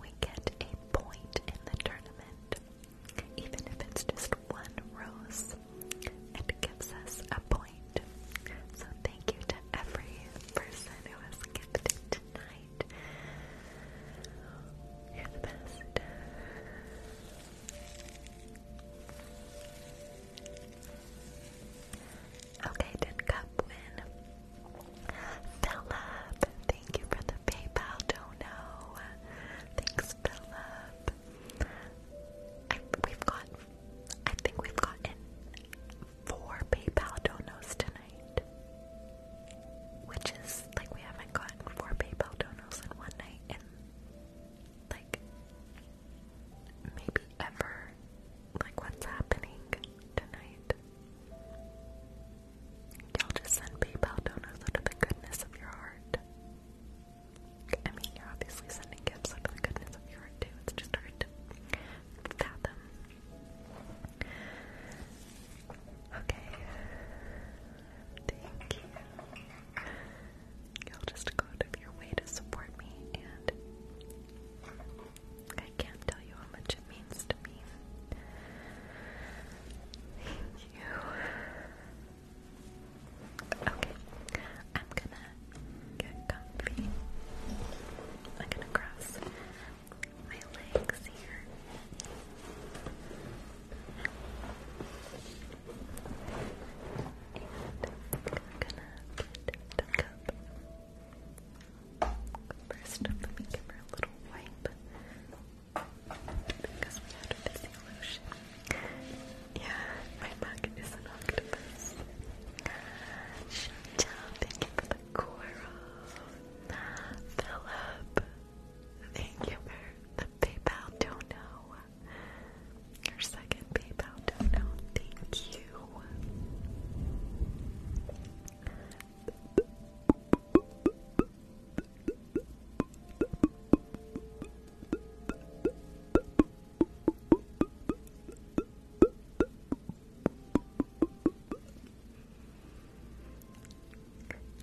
we get a point in the tournament. Even if it's just one rose, it gives us a point. So thank you to every person who has gifted tonight. You're the best. Okay, did Cup win? Philip, thank you for the PayPal dono. Thanks, Philip up. we've got, I think we've gotten four PayPal donos tonight, which is like we haven't gotten four PayPal donos in one night in like maybe ever. Like what's happening tonight? Y'all just send PayPal donos out of the goodness of your heart. I mean, you're obviously sending gifts out of the goodness of your heart, too. It's just hard to fathom. Okay. Thank you. You'll just go out of your way to support me, and I can't tell you how much it means to me. Thank you. Okay, I'm gonna get comfy. I'm gonna cross my legs here. And I'm gonna get the cup. First let me give her a little wipe. Because we had to the lotion. Yeah, my mug is an octopus. Chantel, thank you for the coral. Philip, thank you for the PayPal dono. Your second PayPal dono, thank you.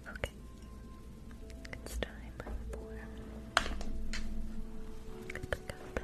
Okay, it's time for pick up a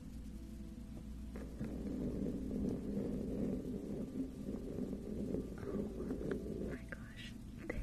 Oh my gosh, thank you.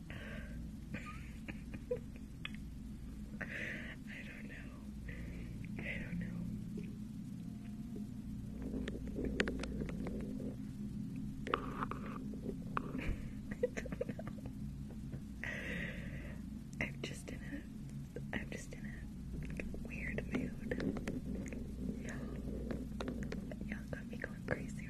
I don't know. I don't know. I don't know. I'm just in a I'm just in a weird mood. Y'all got me going crazy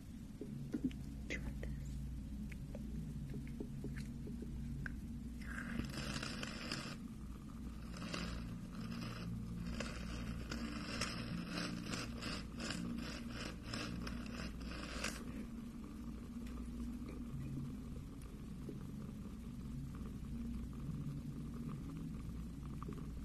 Let's try this.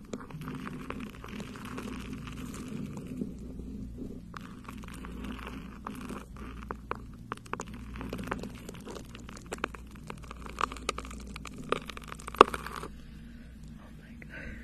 Oh my god. Thank you.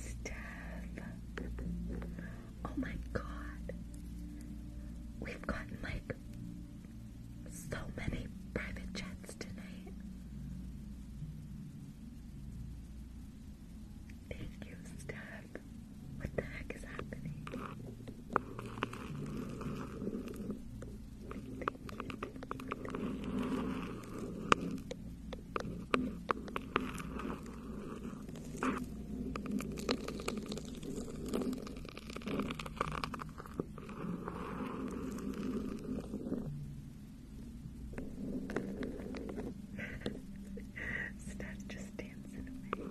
Steph. Oh my god. We've gotten like so many private chats tonight. Thank you, Steph. What the heck is happening? Start just dancing away.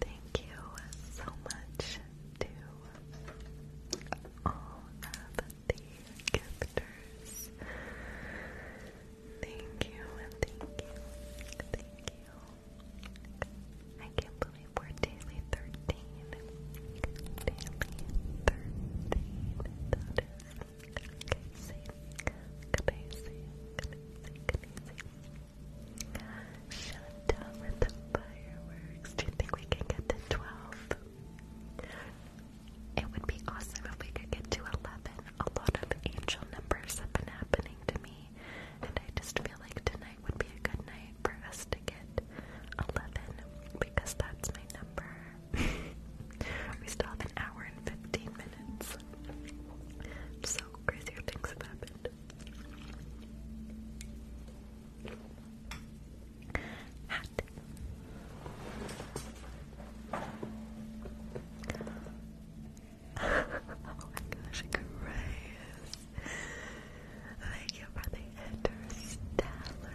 Thank you so much to all of the gifters. Thank you, thank you, thank you. I can't believe we're daily 13. Daily 13. That is Shut down with the fireworks. Do you think we can get to 12? It would be awesome if we could get to 11. A lot of angel numbers have been happening to me, and I just feel like tonight would be a good night for us to get 11 because that's my number. we stop an hour and 15 minutes. So crazy things have happened. oh my gosh, Grace. Thank you for the interstellar.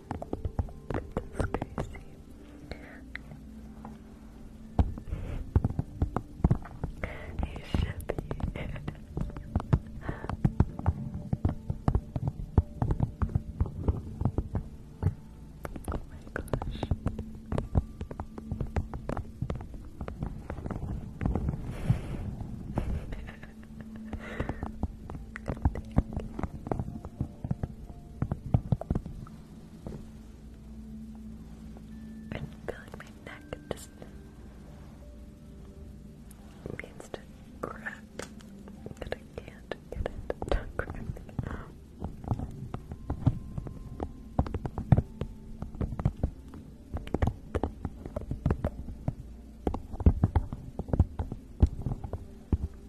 It's should be. oh my gosh. Thank you. I'm feeling my neck just needs to crack, but I can't get it to crack.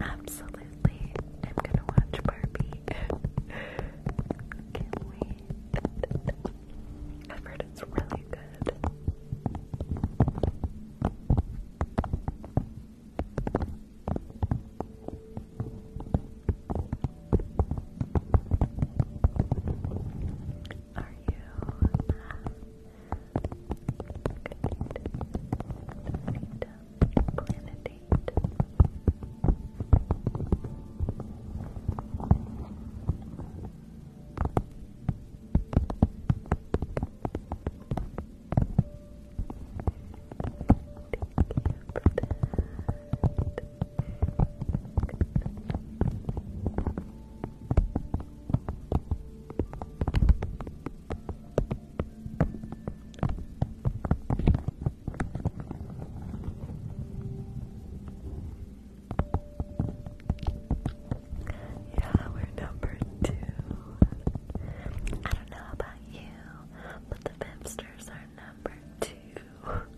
Absolutely. I'm gonna watch Barbie. Can't I've heard it's really good. Are you uh, planetary? Thank you for that. Yeah, we're number two. I don't know about you, but the Pipsters are number two.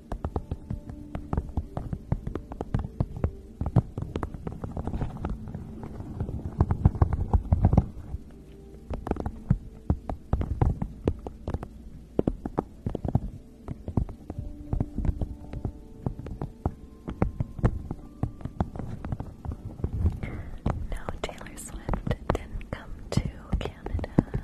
No, Taylor Swift didn't come to Canada.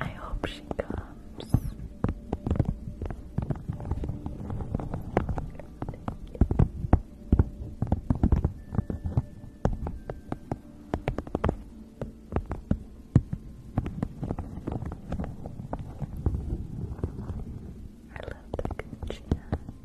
I hope she comes. I love the Gucci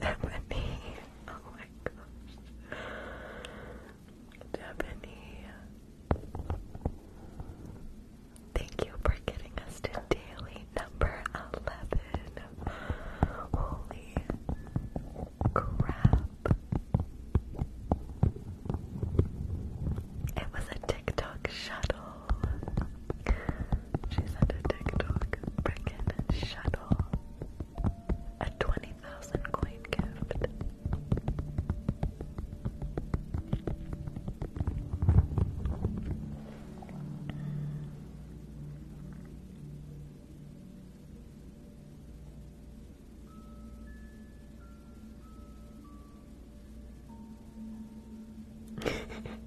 Ebony. Oh my gosh. Ebony. Thank you for getting us to daily number 11. Holy crap. It was a TikTok shuttle. She sent a TikTok freaking shuttle. A 20,000 coin gift.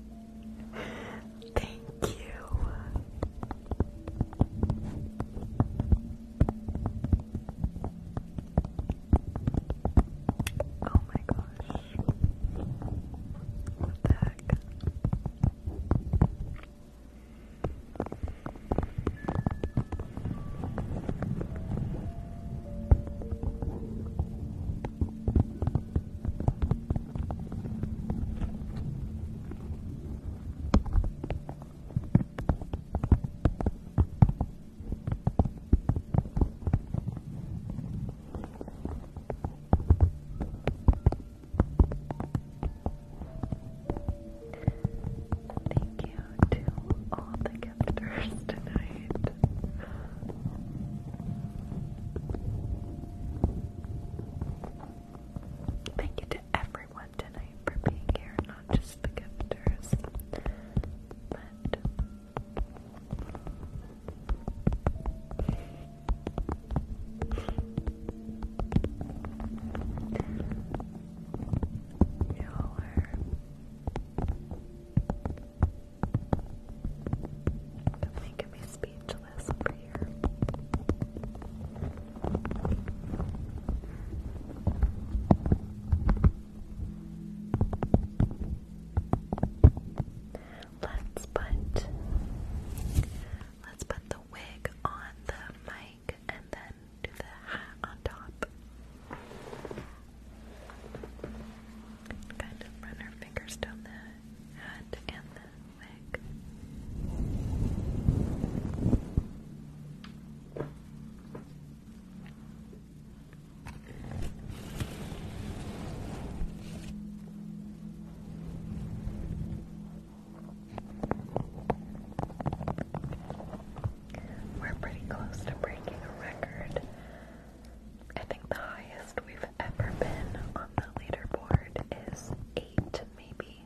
Thank you. Oh my gosh. What the heck? Thank you to all the gifters tonight. Thank you to everyone tonight for being here, not just the gifters. But y'all are making me speechless. Angeles over Let's put let's put the wig on the mic and then do the hat on top. Kind of run our fingers down the hat and the we're pretty close to breaking a record. I think the highest we've ever been on the leaderboard is eight, maybe.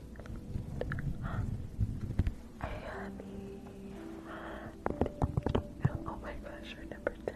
Abby. Oh my gosh, you're number 10.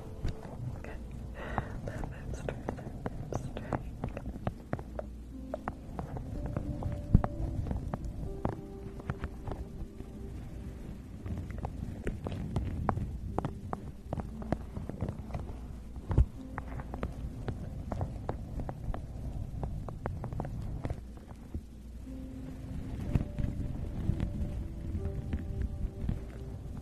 Okay. Left hip straight, left hip straight. Good.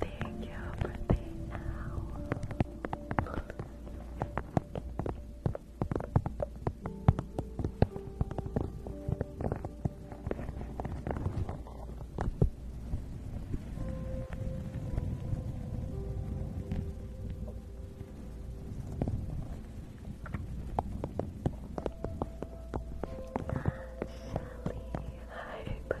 Thank you for the hour hi, bye, bye. Thank you, Shelly. Thank you for the bug. Hi, bye, bye, bye.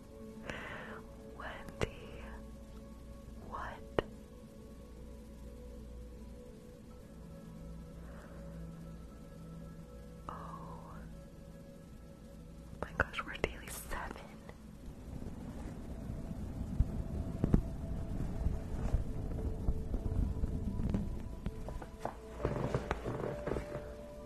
Wendy, what? Oh my gosh, we're daily seven.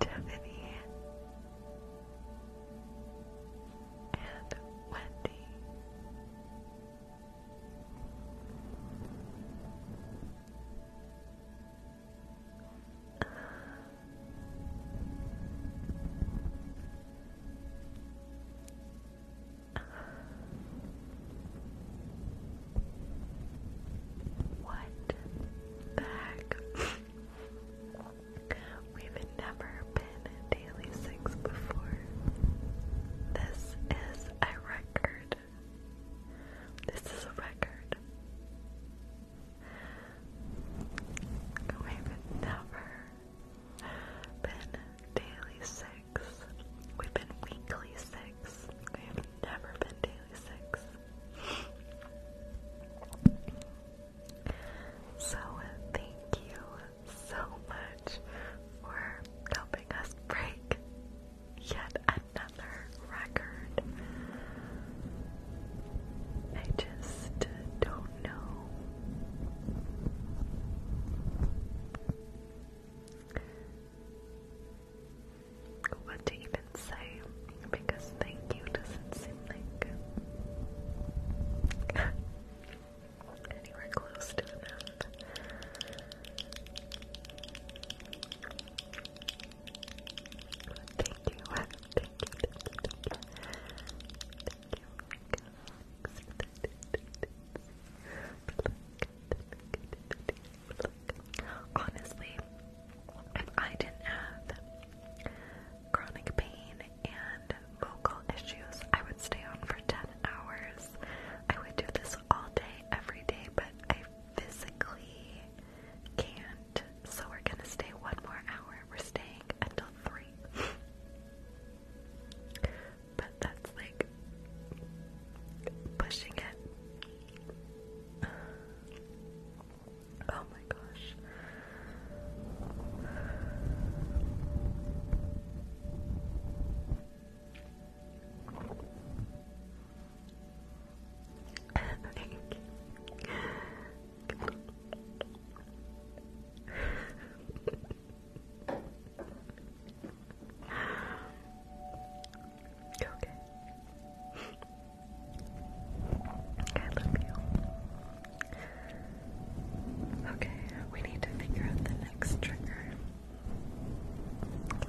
Tiffany and Wendy. What the heck? We've never been Daily Six before. This is a record. This is a record. We've never been daily six. We've been weekly six. We have never been daily six. So thank you so much for helping us break yet another record. I just don't know. What to even say because thank you doesn't seem like anywhere close to enough. thank you Honestly, if I didn't have chronic pain and vocal issues, I would stay on for 10 hours. I would do this all day, every day, but I physically can't. So we're gonna stay one more hour. We're staying until three. but that's like pushing it. Oh my gosh. Thank you okay. I love you. Okay, we need to figure out the next trigger.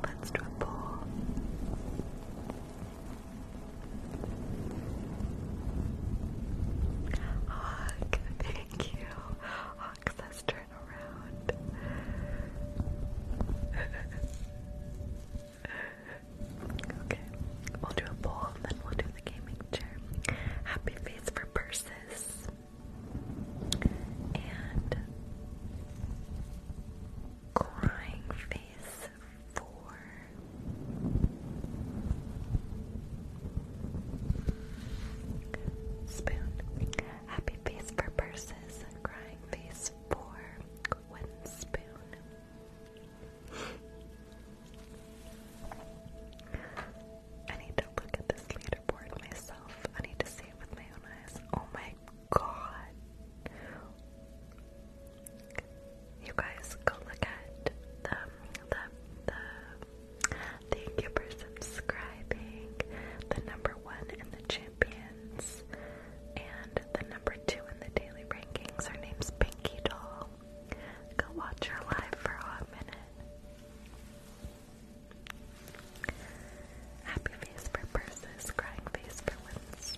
Let's do a poll. Hawk, thank you. Hawk says turn around. okay, we'll do a poll and then we'll do the gaming chair. Happy face for purses. And crying face four. Spoon. Happy face for purses. Crying face for one spoon. I need to look at this leaderboard myself. I need to see it with my own eyes. Oh my god. You guys go look at the the the thank you for subscribing. The number one in the champions and the number two in the daily rankings. Her name's Pinky Doll. Go watch her live for a minute. Happy face for purses, crying face for women's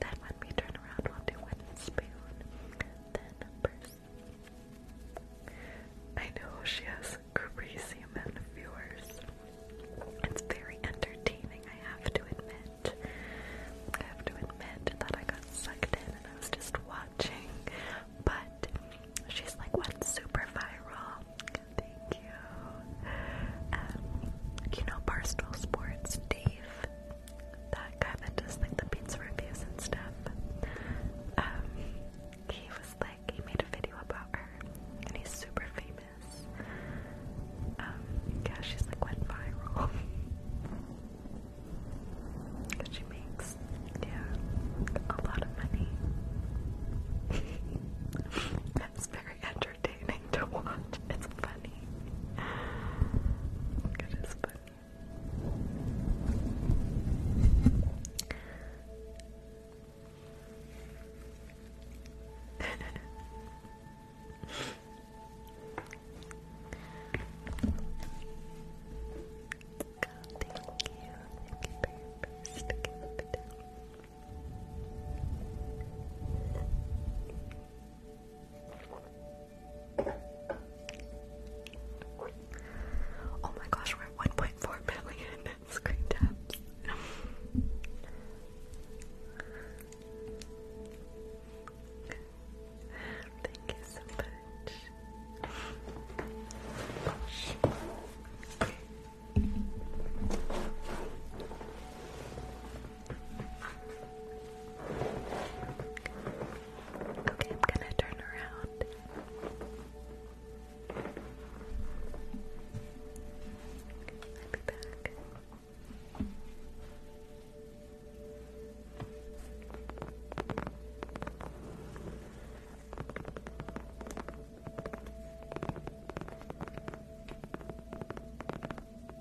then when we turn around, we'll do spoon, then purse. I know she has a crazy amount of viewers. It's very entertaining, I have to admit. I have to admit that I got sucked in and I was just watching. But she's like, went super viral. Thank you. Um, you know, Barstool Sports, Dave, that guy does like the pizza reviews and stuff. Um, he was like, he made a video about her, and he's super famous. Um, yeah, she's like went viral. Cause she makes, yeah, a lot of money. That's very interesting entertaining to watch. It's funny. It is funny. God, thank you. Thank you for your Oh my gosh, we're at 1.4 million screen taps. Thank you so much. Okay, I'm gonna turn around. I'll be back.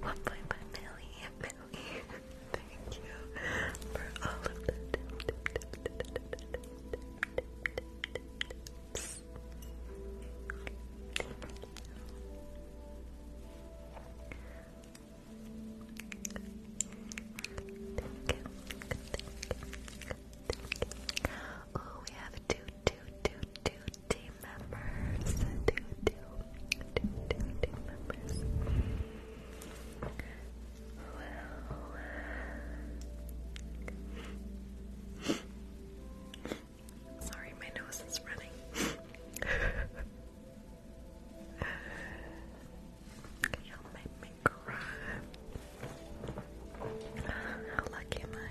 One point by Millie, Millie. Thank you for all of the Thank you. Oh, we have two, two, two, two team members. Two, two, two, two members. Sorry, my nose is running. Y'all make me cry. How lucky am I?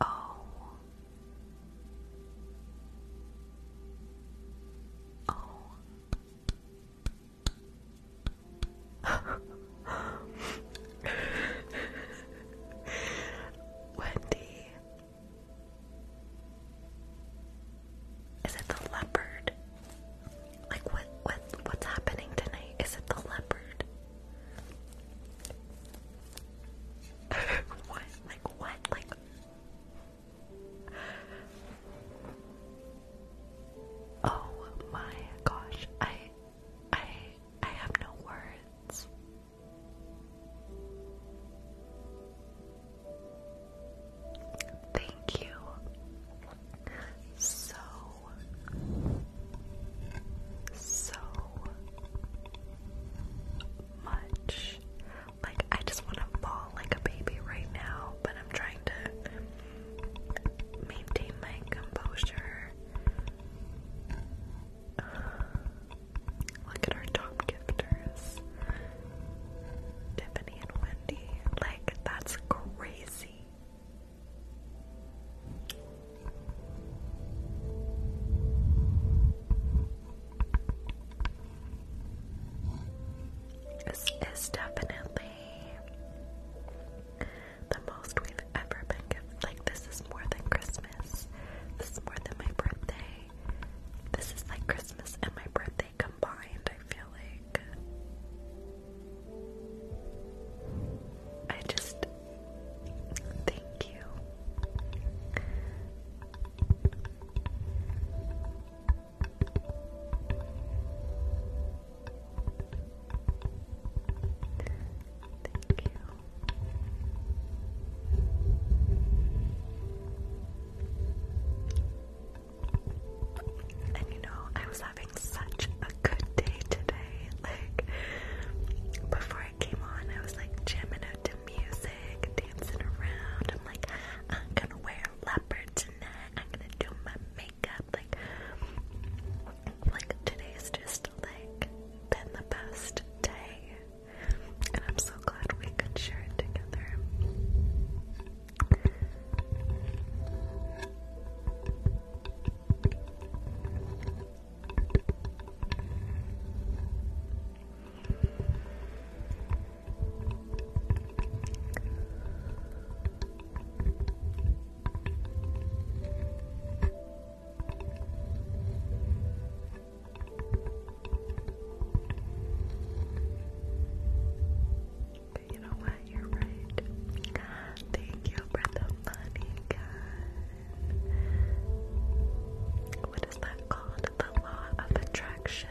O oh. O Wendy Is it the leopard? Like what what what's happening tonight? Is it the leopard? what? Like what? Like Oh my gosh. I I I have no words. Thank you so, so much. Like, I just want to fall like a baby right now, but I'm trying to maintain my composure. look at our top gifters Tiffany and Wendy. Like, that's crazy. This is definitely the most we've ever been given. Like, this is more than Christmas. This is more than my birthday. This is like Christmas and my birthday combined, I feel like. I just thank you. Thank you. And you know, I was having such a good day today. Like, before I came on, I was like jamming to music, dancing around. I'm like, I'm gonna wear leopard tonight. I'm gonna do my makeup. Like, like today's just like been the best day, and I'm so glad we could share it together you know what? right, you're right. Thank you for the money, guys. What is that called? The law of attraction.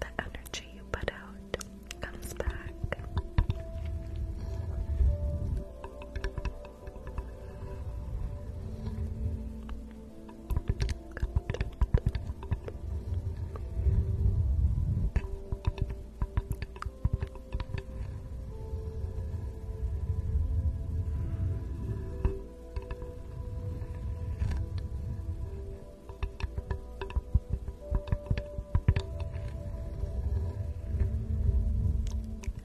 The energy you put out comes back.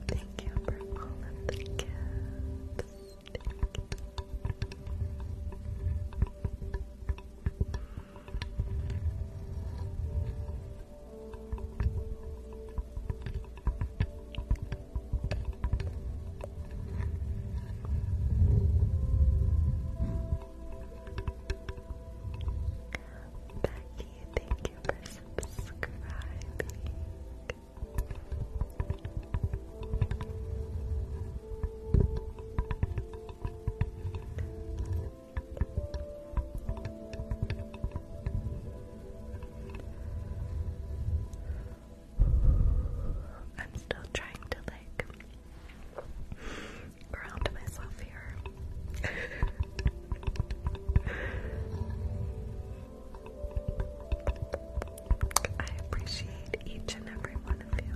Thank you for all of the gifts. Becky, thank you for subscribing. I'm still trying to like ground myself here. I appreciate each and every one of you.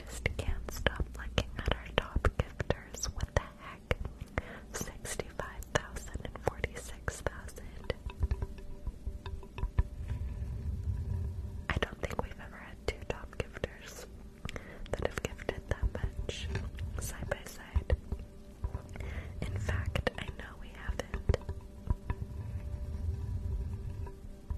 just can't stop looking at our top gifters. What the heck? 65,000 I don't think we've ever had two top gifters that have gifted that much side by side. In fact, I know we haven't. Steph,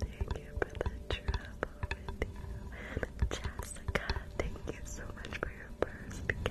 thank you for the trouble Jessica, thank you so much for your first gift.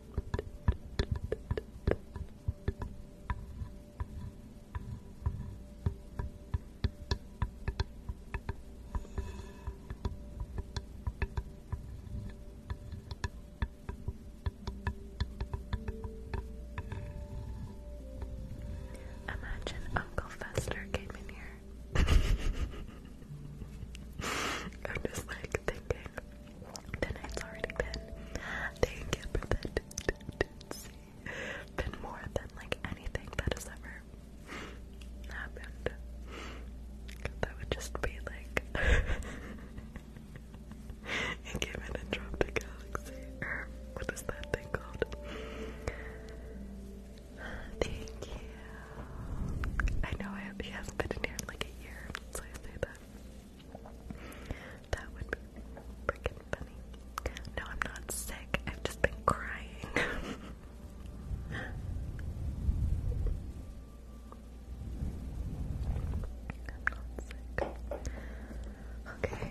Imagine Uncle Fester came in here. I'm just like thinking, Tonight's already been. Thank you for that. Been more than like anything that has ever happened. That would just be like it came in and galaxy. what is that thing called? Thank you. I know I, he not been in here like a year, so I say that. That would be freaking funny. No, I'm not sick. I've just been crying. I'm not sick. Okay.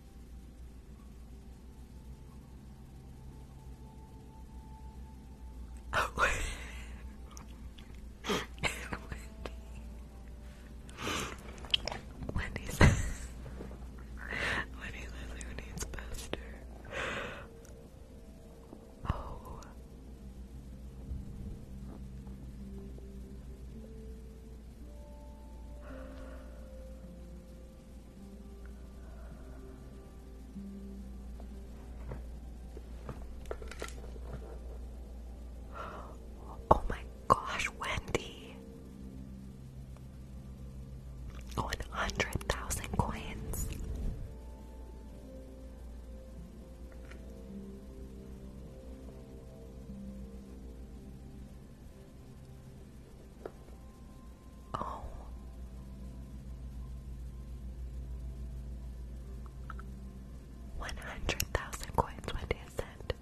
Oh. Wendy says, Wendy says who needs Oh. Oh my gosh, Wendy. 100,000 coins. Oh. One hundred thousand coins, what is it?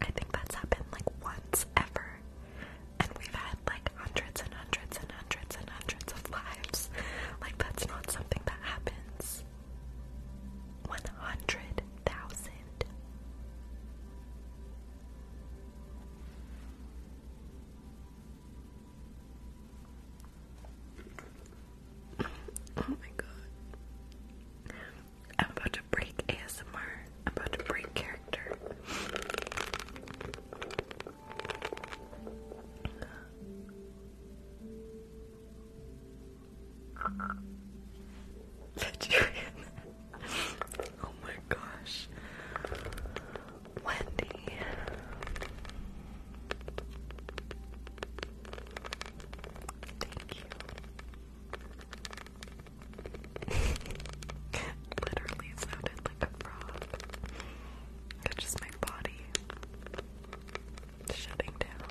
I think that's happened like once ever. And we've had like hundreds and hundreds and hundreds and hundreds of lives. Like that's not something that happens. One hundred oh my god. I'm about to break ASMR. I'm about to break character. Vegetarian. oh my gosh. Wendy. Thank you. Literally sounded like a frog. That's just my body shutting down.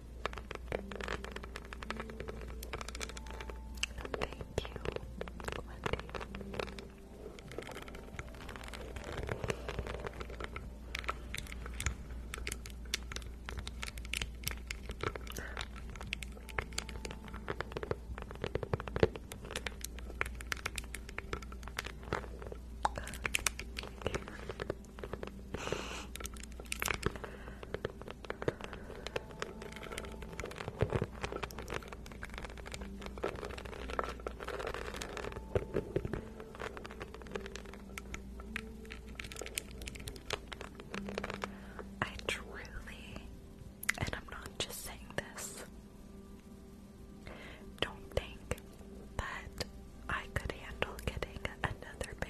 Thank you, Wendy. I truly, and I'm not just saying this, don't think that I could handle getting another baby.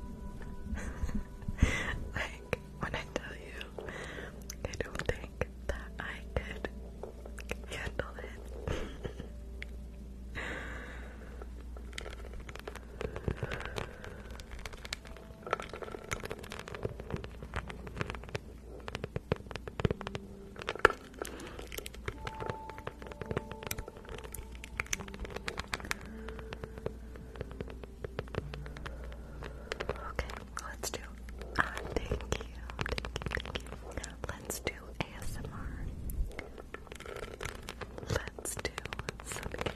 like, when I tell you, I don't think that I could handle it. Okay, let's do. Uh, thank you, thank you, thank you. Let's do ASMR. Let's do some ASMR.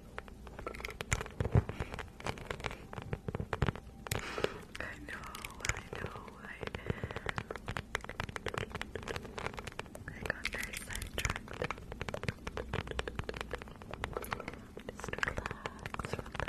I know, I know, I got very sidetracked. Just relax, relax,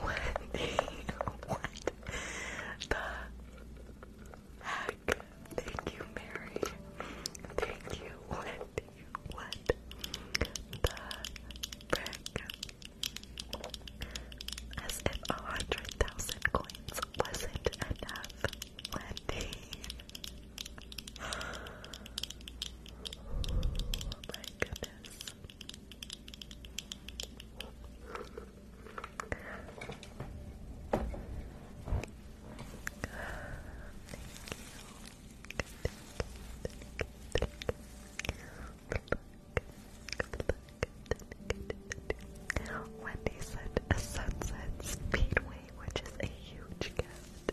What what the heck? Thank you, Mary. Thank you. What what the frick? As if a hundred thousand coins wasn't enough. Wendy my goodness. Thank you. said a sunset speedway, which is a huge gift.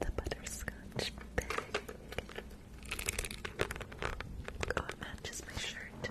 The butterscotch bag. Oh, it matches my shirt.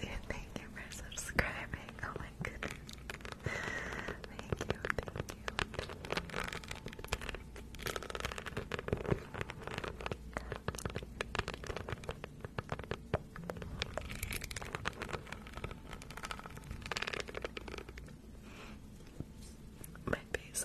thank you for subscribing. Oh my goodness. Thank you, thank you. My face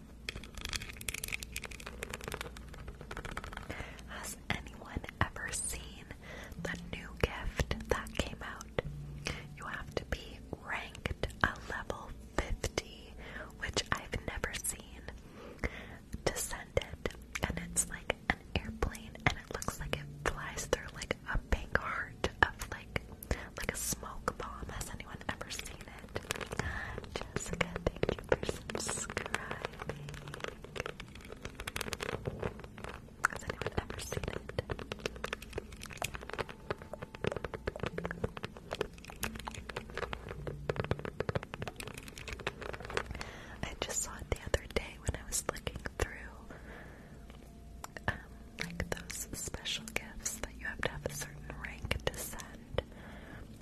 Has anyone ever seen the new gift that came out? You have to be ranked a level 50, which I've never seen, Descended, And it's like an airplane, and it looks like it flies through like a pink heart of like like a smoke bomb. Has anyone ever seen it? Jessica, thank you for subscribing. Has anyone ever seen it? I just saw it the other day when I was looking through um, like those special gifts that you have to have a certain rank to send.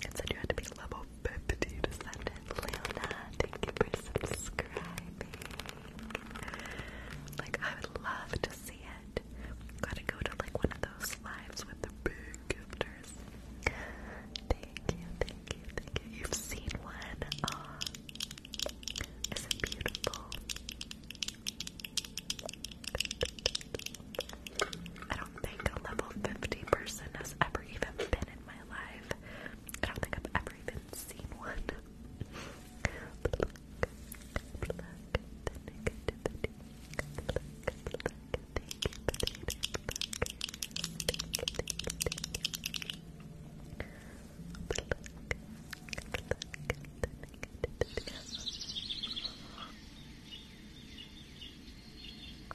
It said you had to be level 50 to send it. Leona, thank you for subscribing. Like, I would love to see it. Gotta go to like one of those lives with the big gifters. Thank you, thank you, thank you. You've seen one. Aw. Isn't beautiful? I don't think a level 50 person has ever even been in my life. I don't think I've ever even seen one. thank you,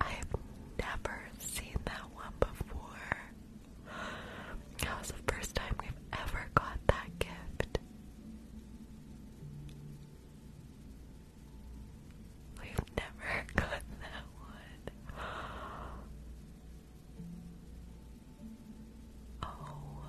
I've never seen that one before. That was the first time we've ever got that gift. We've never gotten that one. Oh my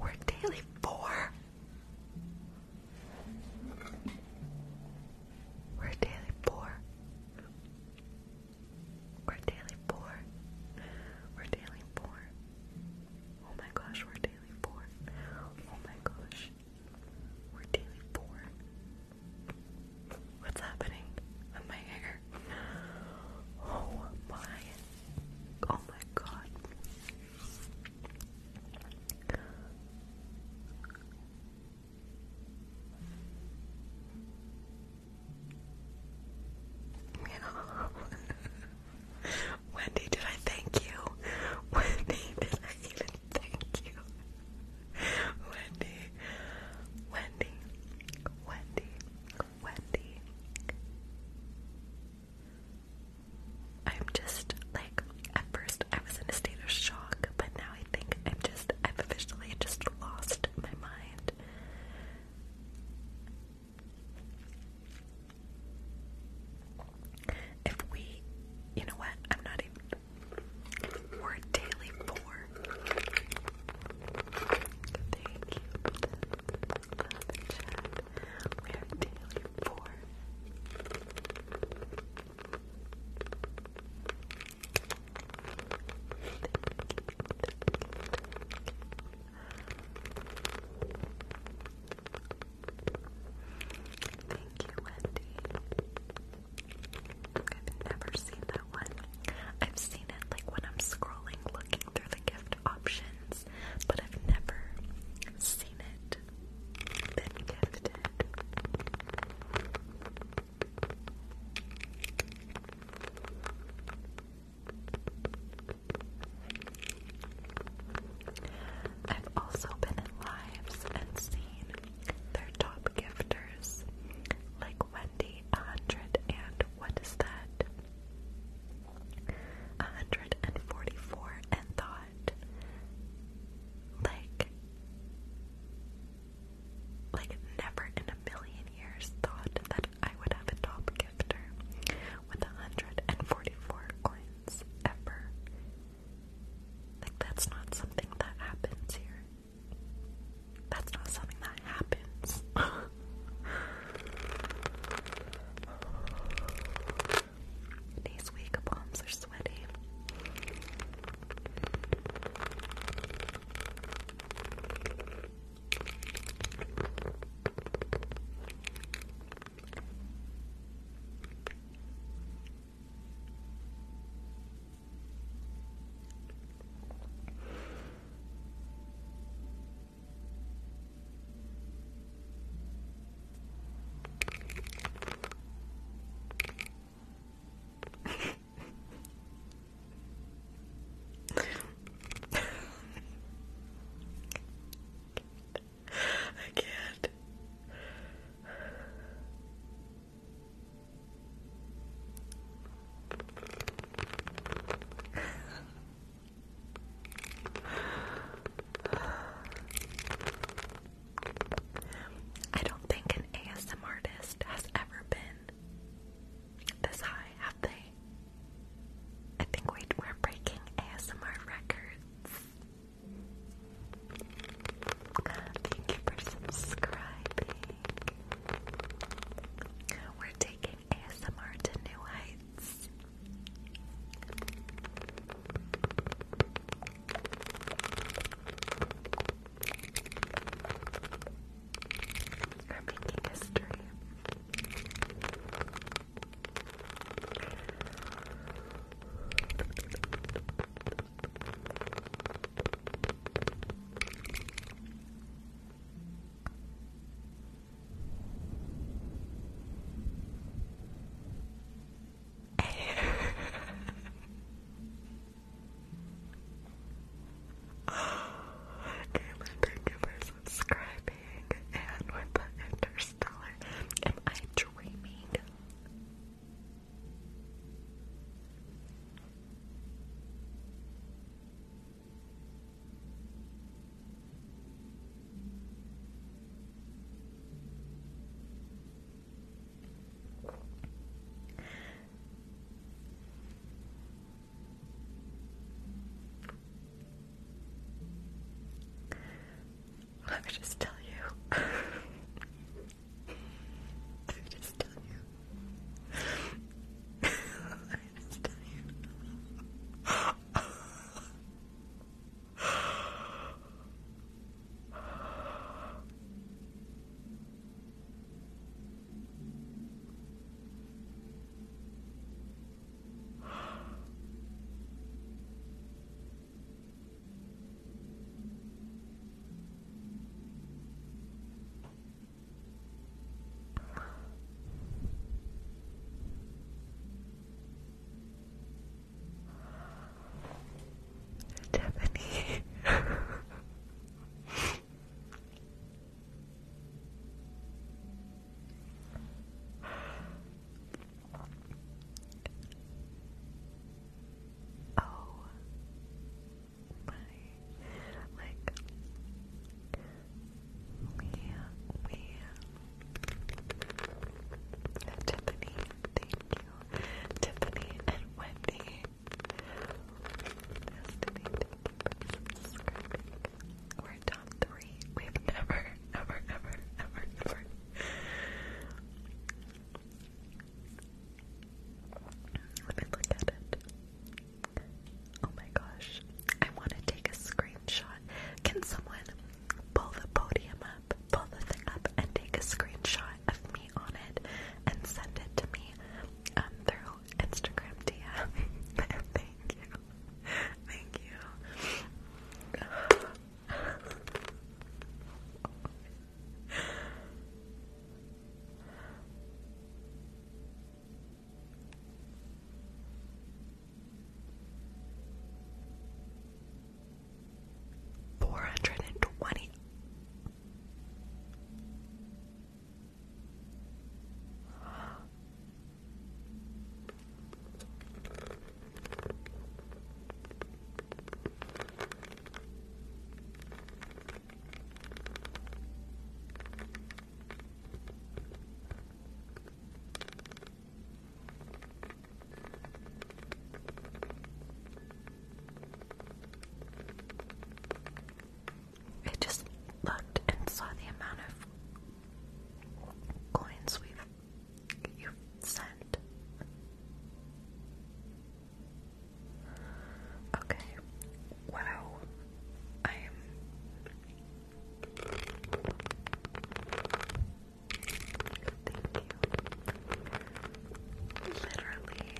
Work daily four. Work daily four. Work daily four. Work daily four. Oh my gosh, we're daily four. Oh my gosh. We're daily four. What's happening my hair? Oh my, oh my god. Wendy, did I thank you? Wendy, did I even thank you? Wendy, Wendy, Wendy, Wendy. I'm just like, at first I was in a state of shock, but now I think I'm just, I've officially just lost my mind. If we, you know what, I'm not even, we're daily four. Thank you. We are daily four. Thank you, Wendy. I've never seen that one. I've seen like when I'm scrolling looking through the gift options, but I've never seen it been gifted. I've also been in lives and seen their top gifters, like Wendy a hundred and what is that? 144 and thought like like never in a million years thought that I would have a top gifter with 144 coins ever. Like that's not something that happens here. That's not something that happens. These weak palms are sweaty. I can't. I don't think an ASM artist has ever been this high, have they? I think we we're breaking ASMR records. Thank you for subscribing. We're taking ASMR to new heights. We're making history. Kayla, thank you for subscribing and with the interstellar. Am I dreaming? Let me just tell you. Let me just tell you. kindness to you. Stephanie. oh my like Leah, Leah. Tiffany, thank you. Tiffany and Wendy. We're top three. We've never, ever, ever, ever, ever. Let me look at it. Oh my gosh. I want to take a screenshot can someone pull the podium up, pull the thing up, and take a screenshot of me on it and send it to me um, through Instagram DM? Thank you. Thank you. Four hundred and twenty. I just looked and saw the amount of coins we've you sent. Okay. Wow. I am Thank you. Literally.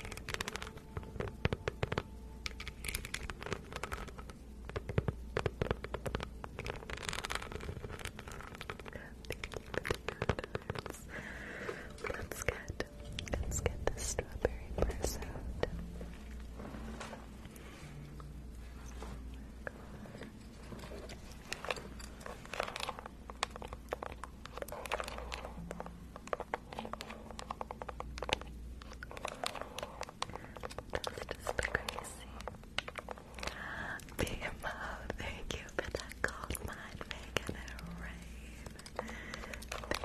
Let's get let's get the strawberry purse just crazy. Big Mo, thank you for that gold mine making rain. Thank you.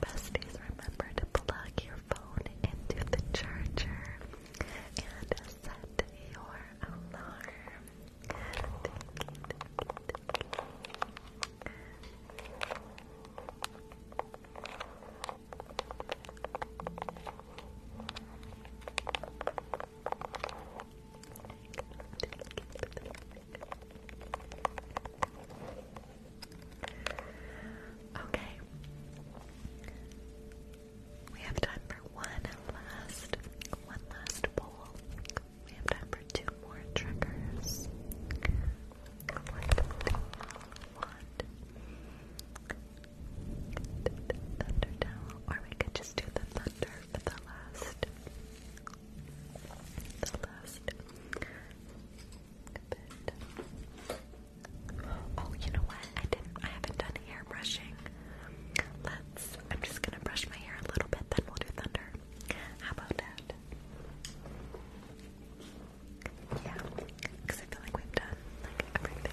Besties, remember to plug your phone into the charger and set your alarm. thank you. Okay. We have time for one last one last poll. We have time for two more triggers. Thunder towel, or we could just do the thunder for the last. The last Oh, you know what? I didn't. I haven't done hair brushing. Let's. I'm just gonna brush my hair a little bit, then we'll do thunder. How about that? Yeah, because I feel like we've done like everything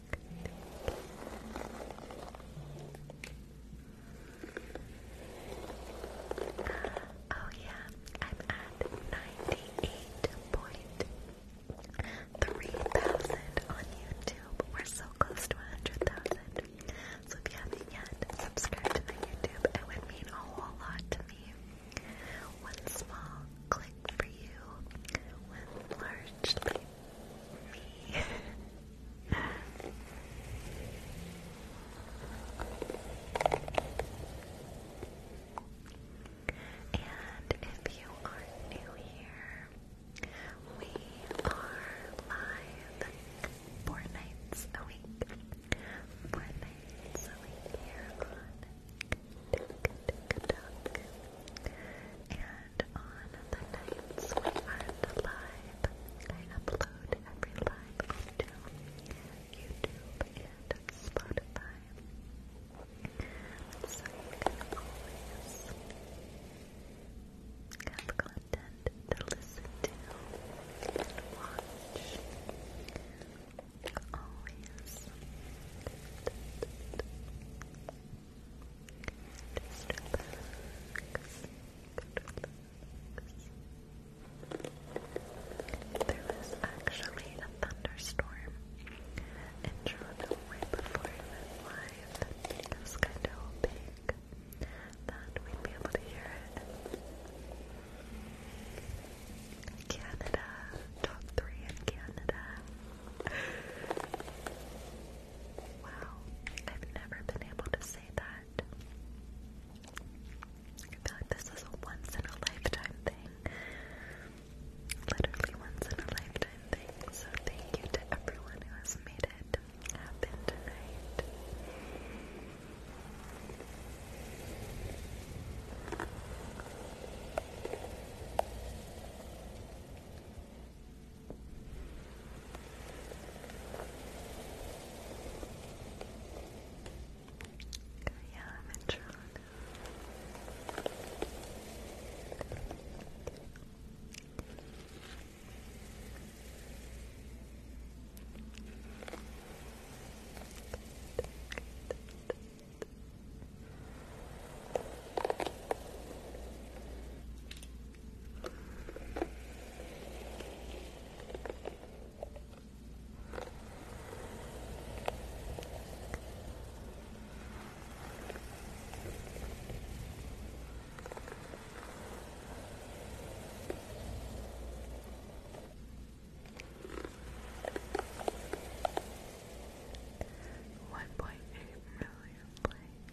Oh yeah, I'm at ninety-eight point three thousand on YouTube. We're so close to hundred thousand. So if you haven't yet, subscribe to my YouTube. It would mean a whole lot to me. One small click for you, one largely and if you are new here, we are live four nights a week. Four nights a week here on TikTok. And on the nights we aren't live, I upload every live onto YouTube and Spotify. So you can always have content to listen to watch. Always. Just relax. actually a thunderstorm in Toronto before I live. It was kind of big that we'd be able to hear it. Canada, top three in Canada. Wow, I've never been able to say that. I feel like this is a once in a lifetime thing. Literally once in a lifetime thing. So thank you to everyone who has made it happen tonight. Yeah, I'm in Toronto. Good. 1.8 million likes.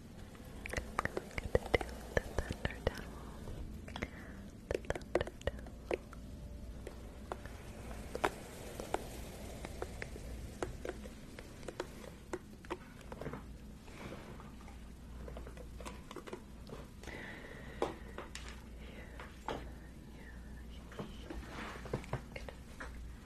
going to do the thunder towel. The thunder towel. Yeah, yeah, yeah. Good.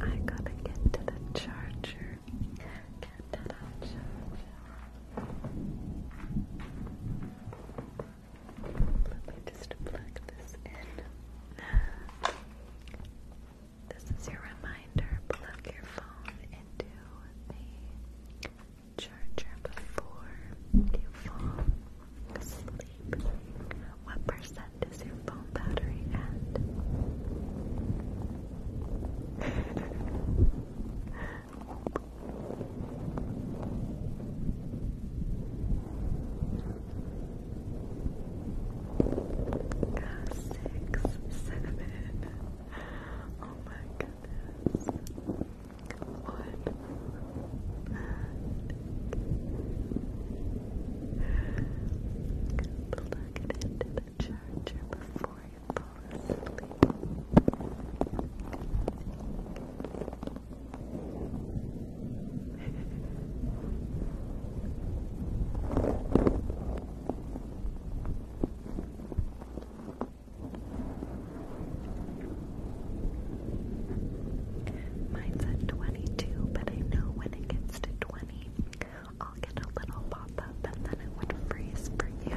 I gotta Get to the charger. Let me just plug this in. This is your reminder. Plug your phone into the charger before you fall asleep. What percent is your phone battery at? six, seven. Oh my goodness one back. Plug it into the charger before you fall asleep. Mine's at 22, but I know when it gets to 20, I'll get a little pop up and then it would freeze for you.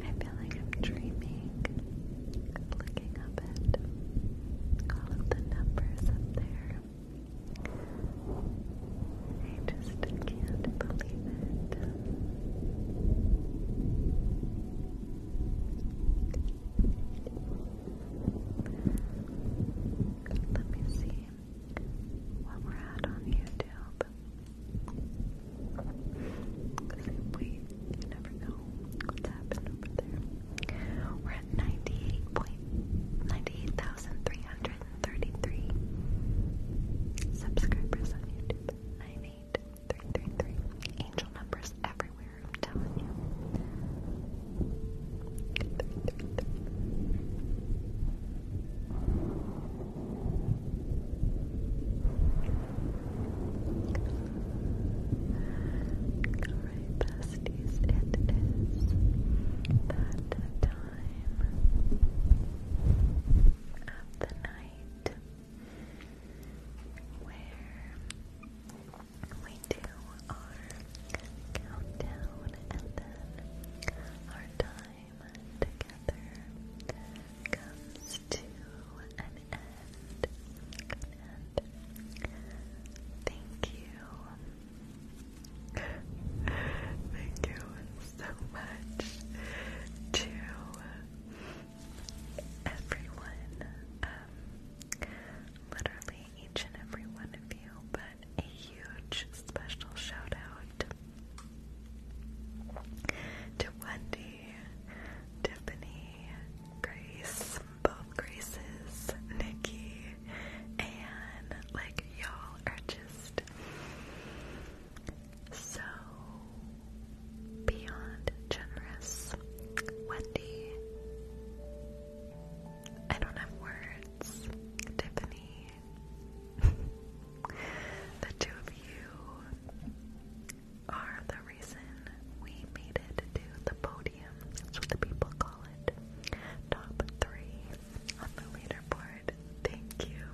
I feel like I'm dreaming, looking up at all of the numbers up there. I just can't believe it. Let me see what we're at on YouTube. Simply, you never know what's happened over there. We're at 98,333 subscribers on YouTube. 98333. Angel numbers everywhere, I'm telling you. Three, three, three. Alright, besties, it is that time of the night where we do our countdown and then our time together comes to an end. thank you. thank you so much to everyone. Um, literally each and every one of you, but a huge special shout out to Wendy, Tiffany, Grace, both Graces, Nikki, and like y'all are just so beyond generous. Wendy, I don't have words. Tiffany, the two of you are the reason we made it to the podium. That's what the people call it. Top three on the leaderboard. Thank you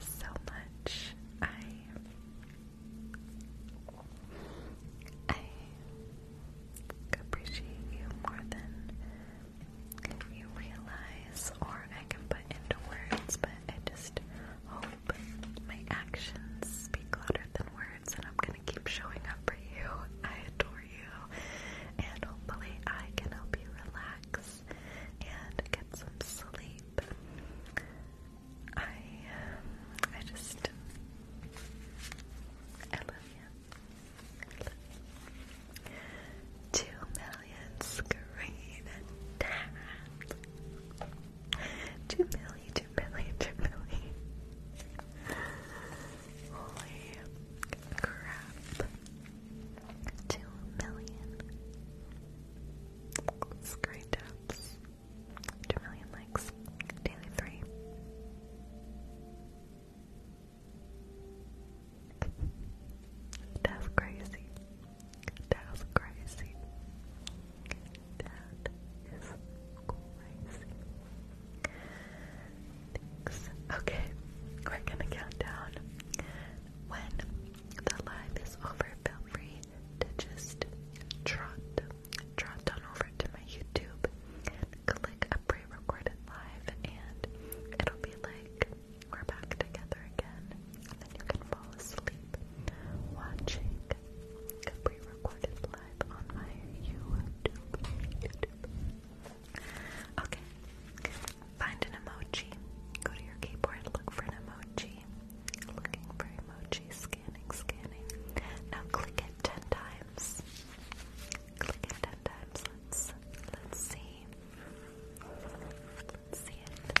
so much. I I appreciate you more than you realize or I can put into words, but I just hope my actions speak louder than words, and I'm gonna keep showing up for you. I adore you, and hopefully, I can help you relax and get some sleep. I, um, I just, I love you. I million screen taps. Two million, two million, two million. Holy crap. Two million screen taps. Two million likes. Daily three. That's crazy. That was crazy. That is crazy. Okay, we're gonna count When the live is over, feel free to just trot, trot on over to my YouTube, click a pre-recorded live, and it'll be like we're back together again, and then you can fall asleep watching a pre-recorded live on my YouTube. YouTube. Okay. Find an emoji. Go to your keyboard, look for an emoji. Looking for emoji, scanning, scanning. Now click it ten times. Click it ten times. Let's see. Let's see it.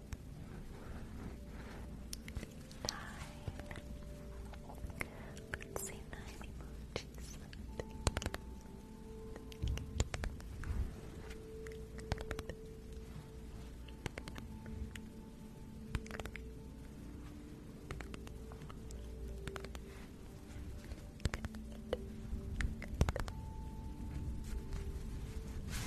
Nine. Let's say nine emojis.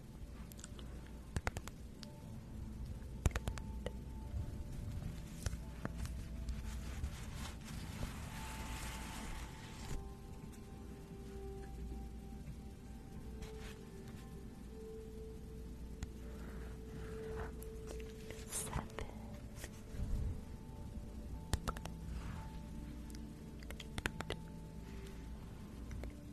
Seven. Eight.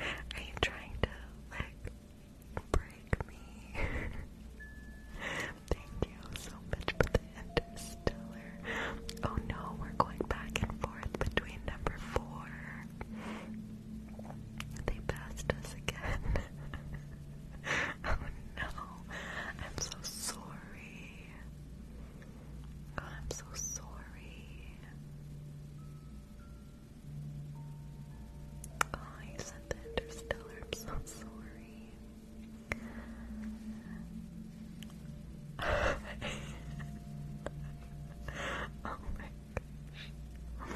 Are you trying to like break me? Thank you so much for the interstellar. Oh no, we're going back and forth between number four they passed us again. oh no. I'm so sorry. I'm so sorry. Oh, you sent the interstellar. I'm so sorry. oh my Thank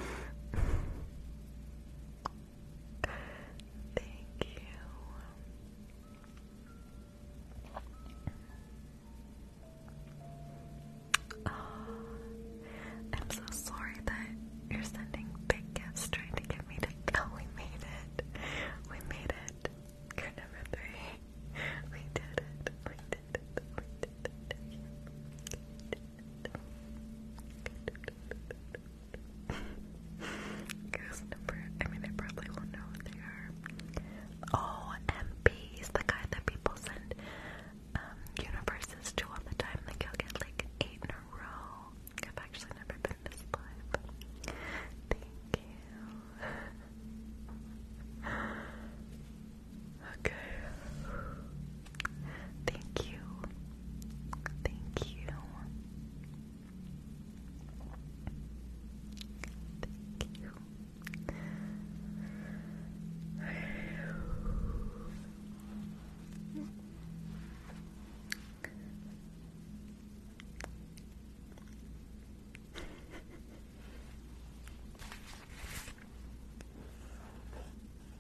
you. I'm so sorry that you're sending big gifts trying to get me to. Oh, we made it. We made it. you number three. We did it. We did it. We did it. Guess number. I mean, I probably will know what they are. Oh, MPs, the kind that people send um, universes to all the time. Like get like eight in a row. I've actually never been this Thank you. Okay. Thank you. Thank you. Thank you.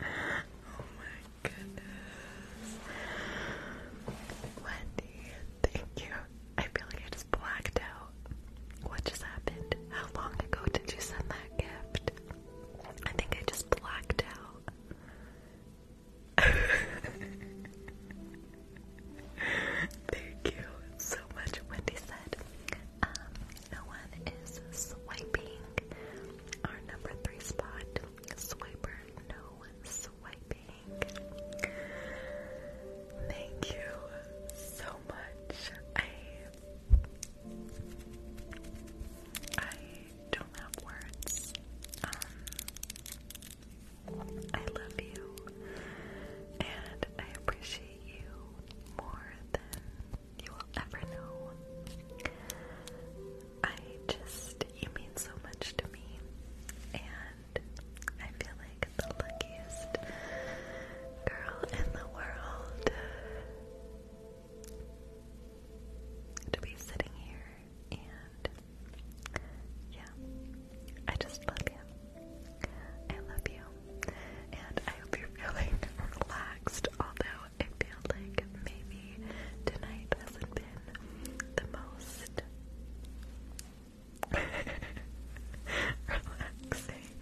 Oh my goodness. Wendy, thank you. I feel like I just blacked out. What just happened? How long ago did you send that gift? I think I just blacked out. Thank you so much, Wendy said. Um, no one is swiping. Our number three spot, Swiper No Swiping. Thank you so much. I I don't have words. Um, I love you, and I appreciate you more than you will ever know. I just, you mean so much to me, and I feel like the luckiest girl in the world to be sitting here and. Yeah, I just love you. I love you. And I hope you're feeling relaxed, although it feels like maybe tonight hasn't been the most relaxing.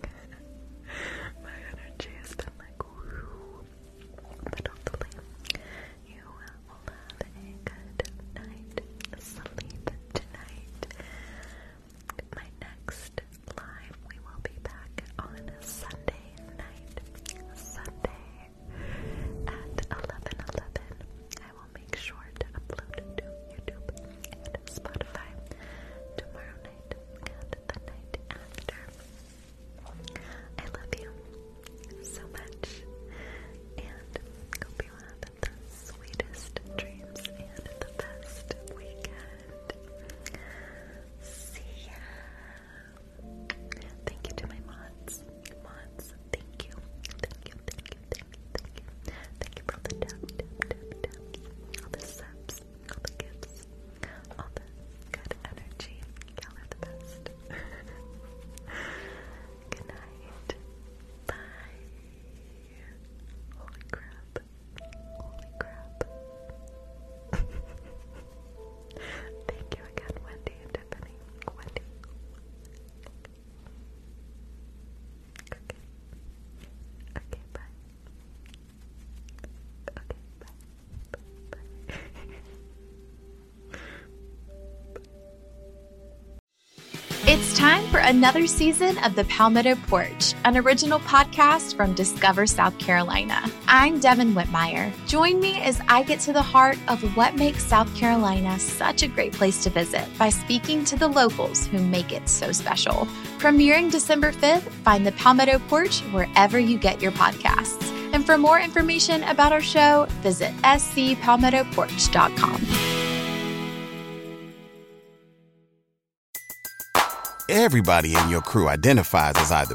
My energy has been like woo. But you have a good night sleep tonight. My next live, we will be back on Sunday Sunday at 11:11, I will make sure to upload to YouTube and Spotify tomorrow night and the night after. I love you so much and hope you have the sweetest dreams and the best weekend. See ya! Thank you to my mods. Mods, thank you. Thank you, thank you, thank you, thank you. Thank you for all the tap, all the gifts, all the good energy. Y'all are the best. good night. Bye. Holy crap. Holy crap. Thank you again, Wendy and Tiffany. Wendy. Okay. Okay, bye. Okay, bye. Bye. bye. It's time for another season of The Palmetto Porch, an original podcast from Discover South Carolina. I'm Devin Whitmire. Join me as I get to the heart of what makes South Carolina such a great place to visit by speaking to the locals who make it so special. Premiering December 5th, find the Palmetto Porch wherever you get your podcasts. And for more information about our show, visit scpalmettoporch.com. Everybody in your crew identifies as either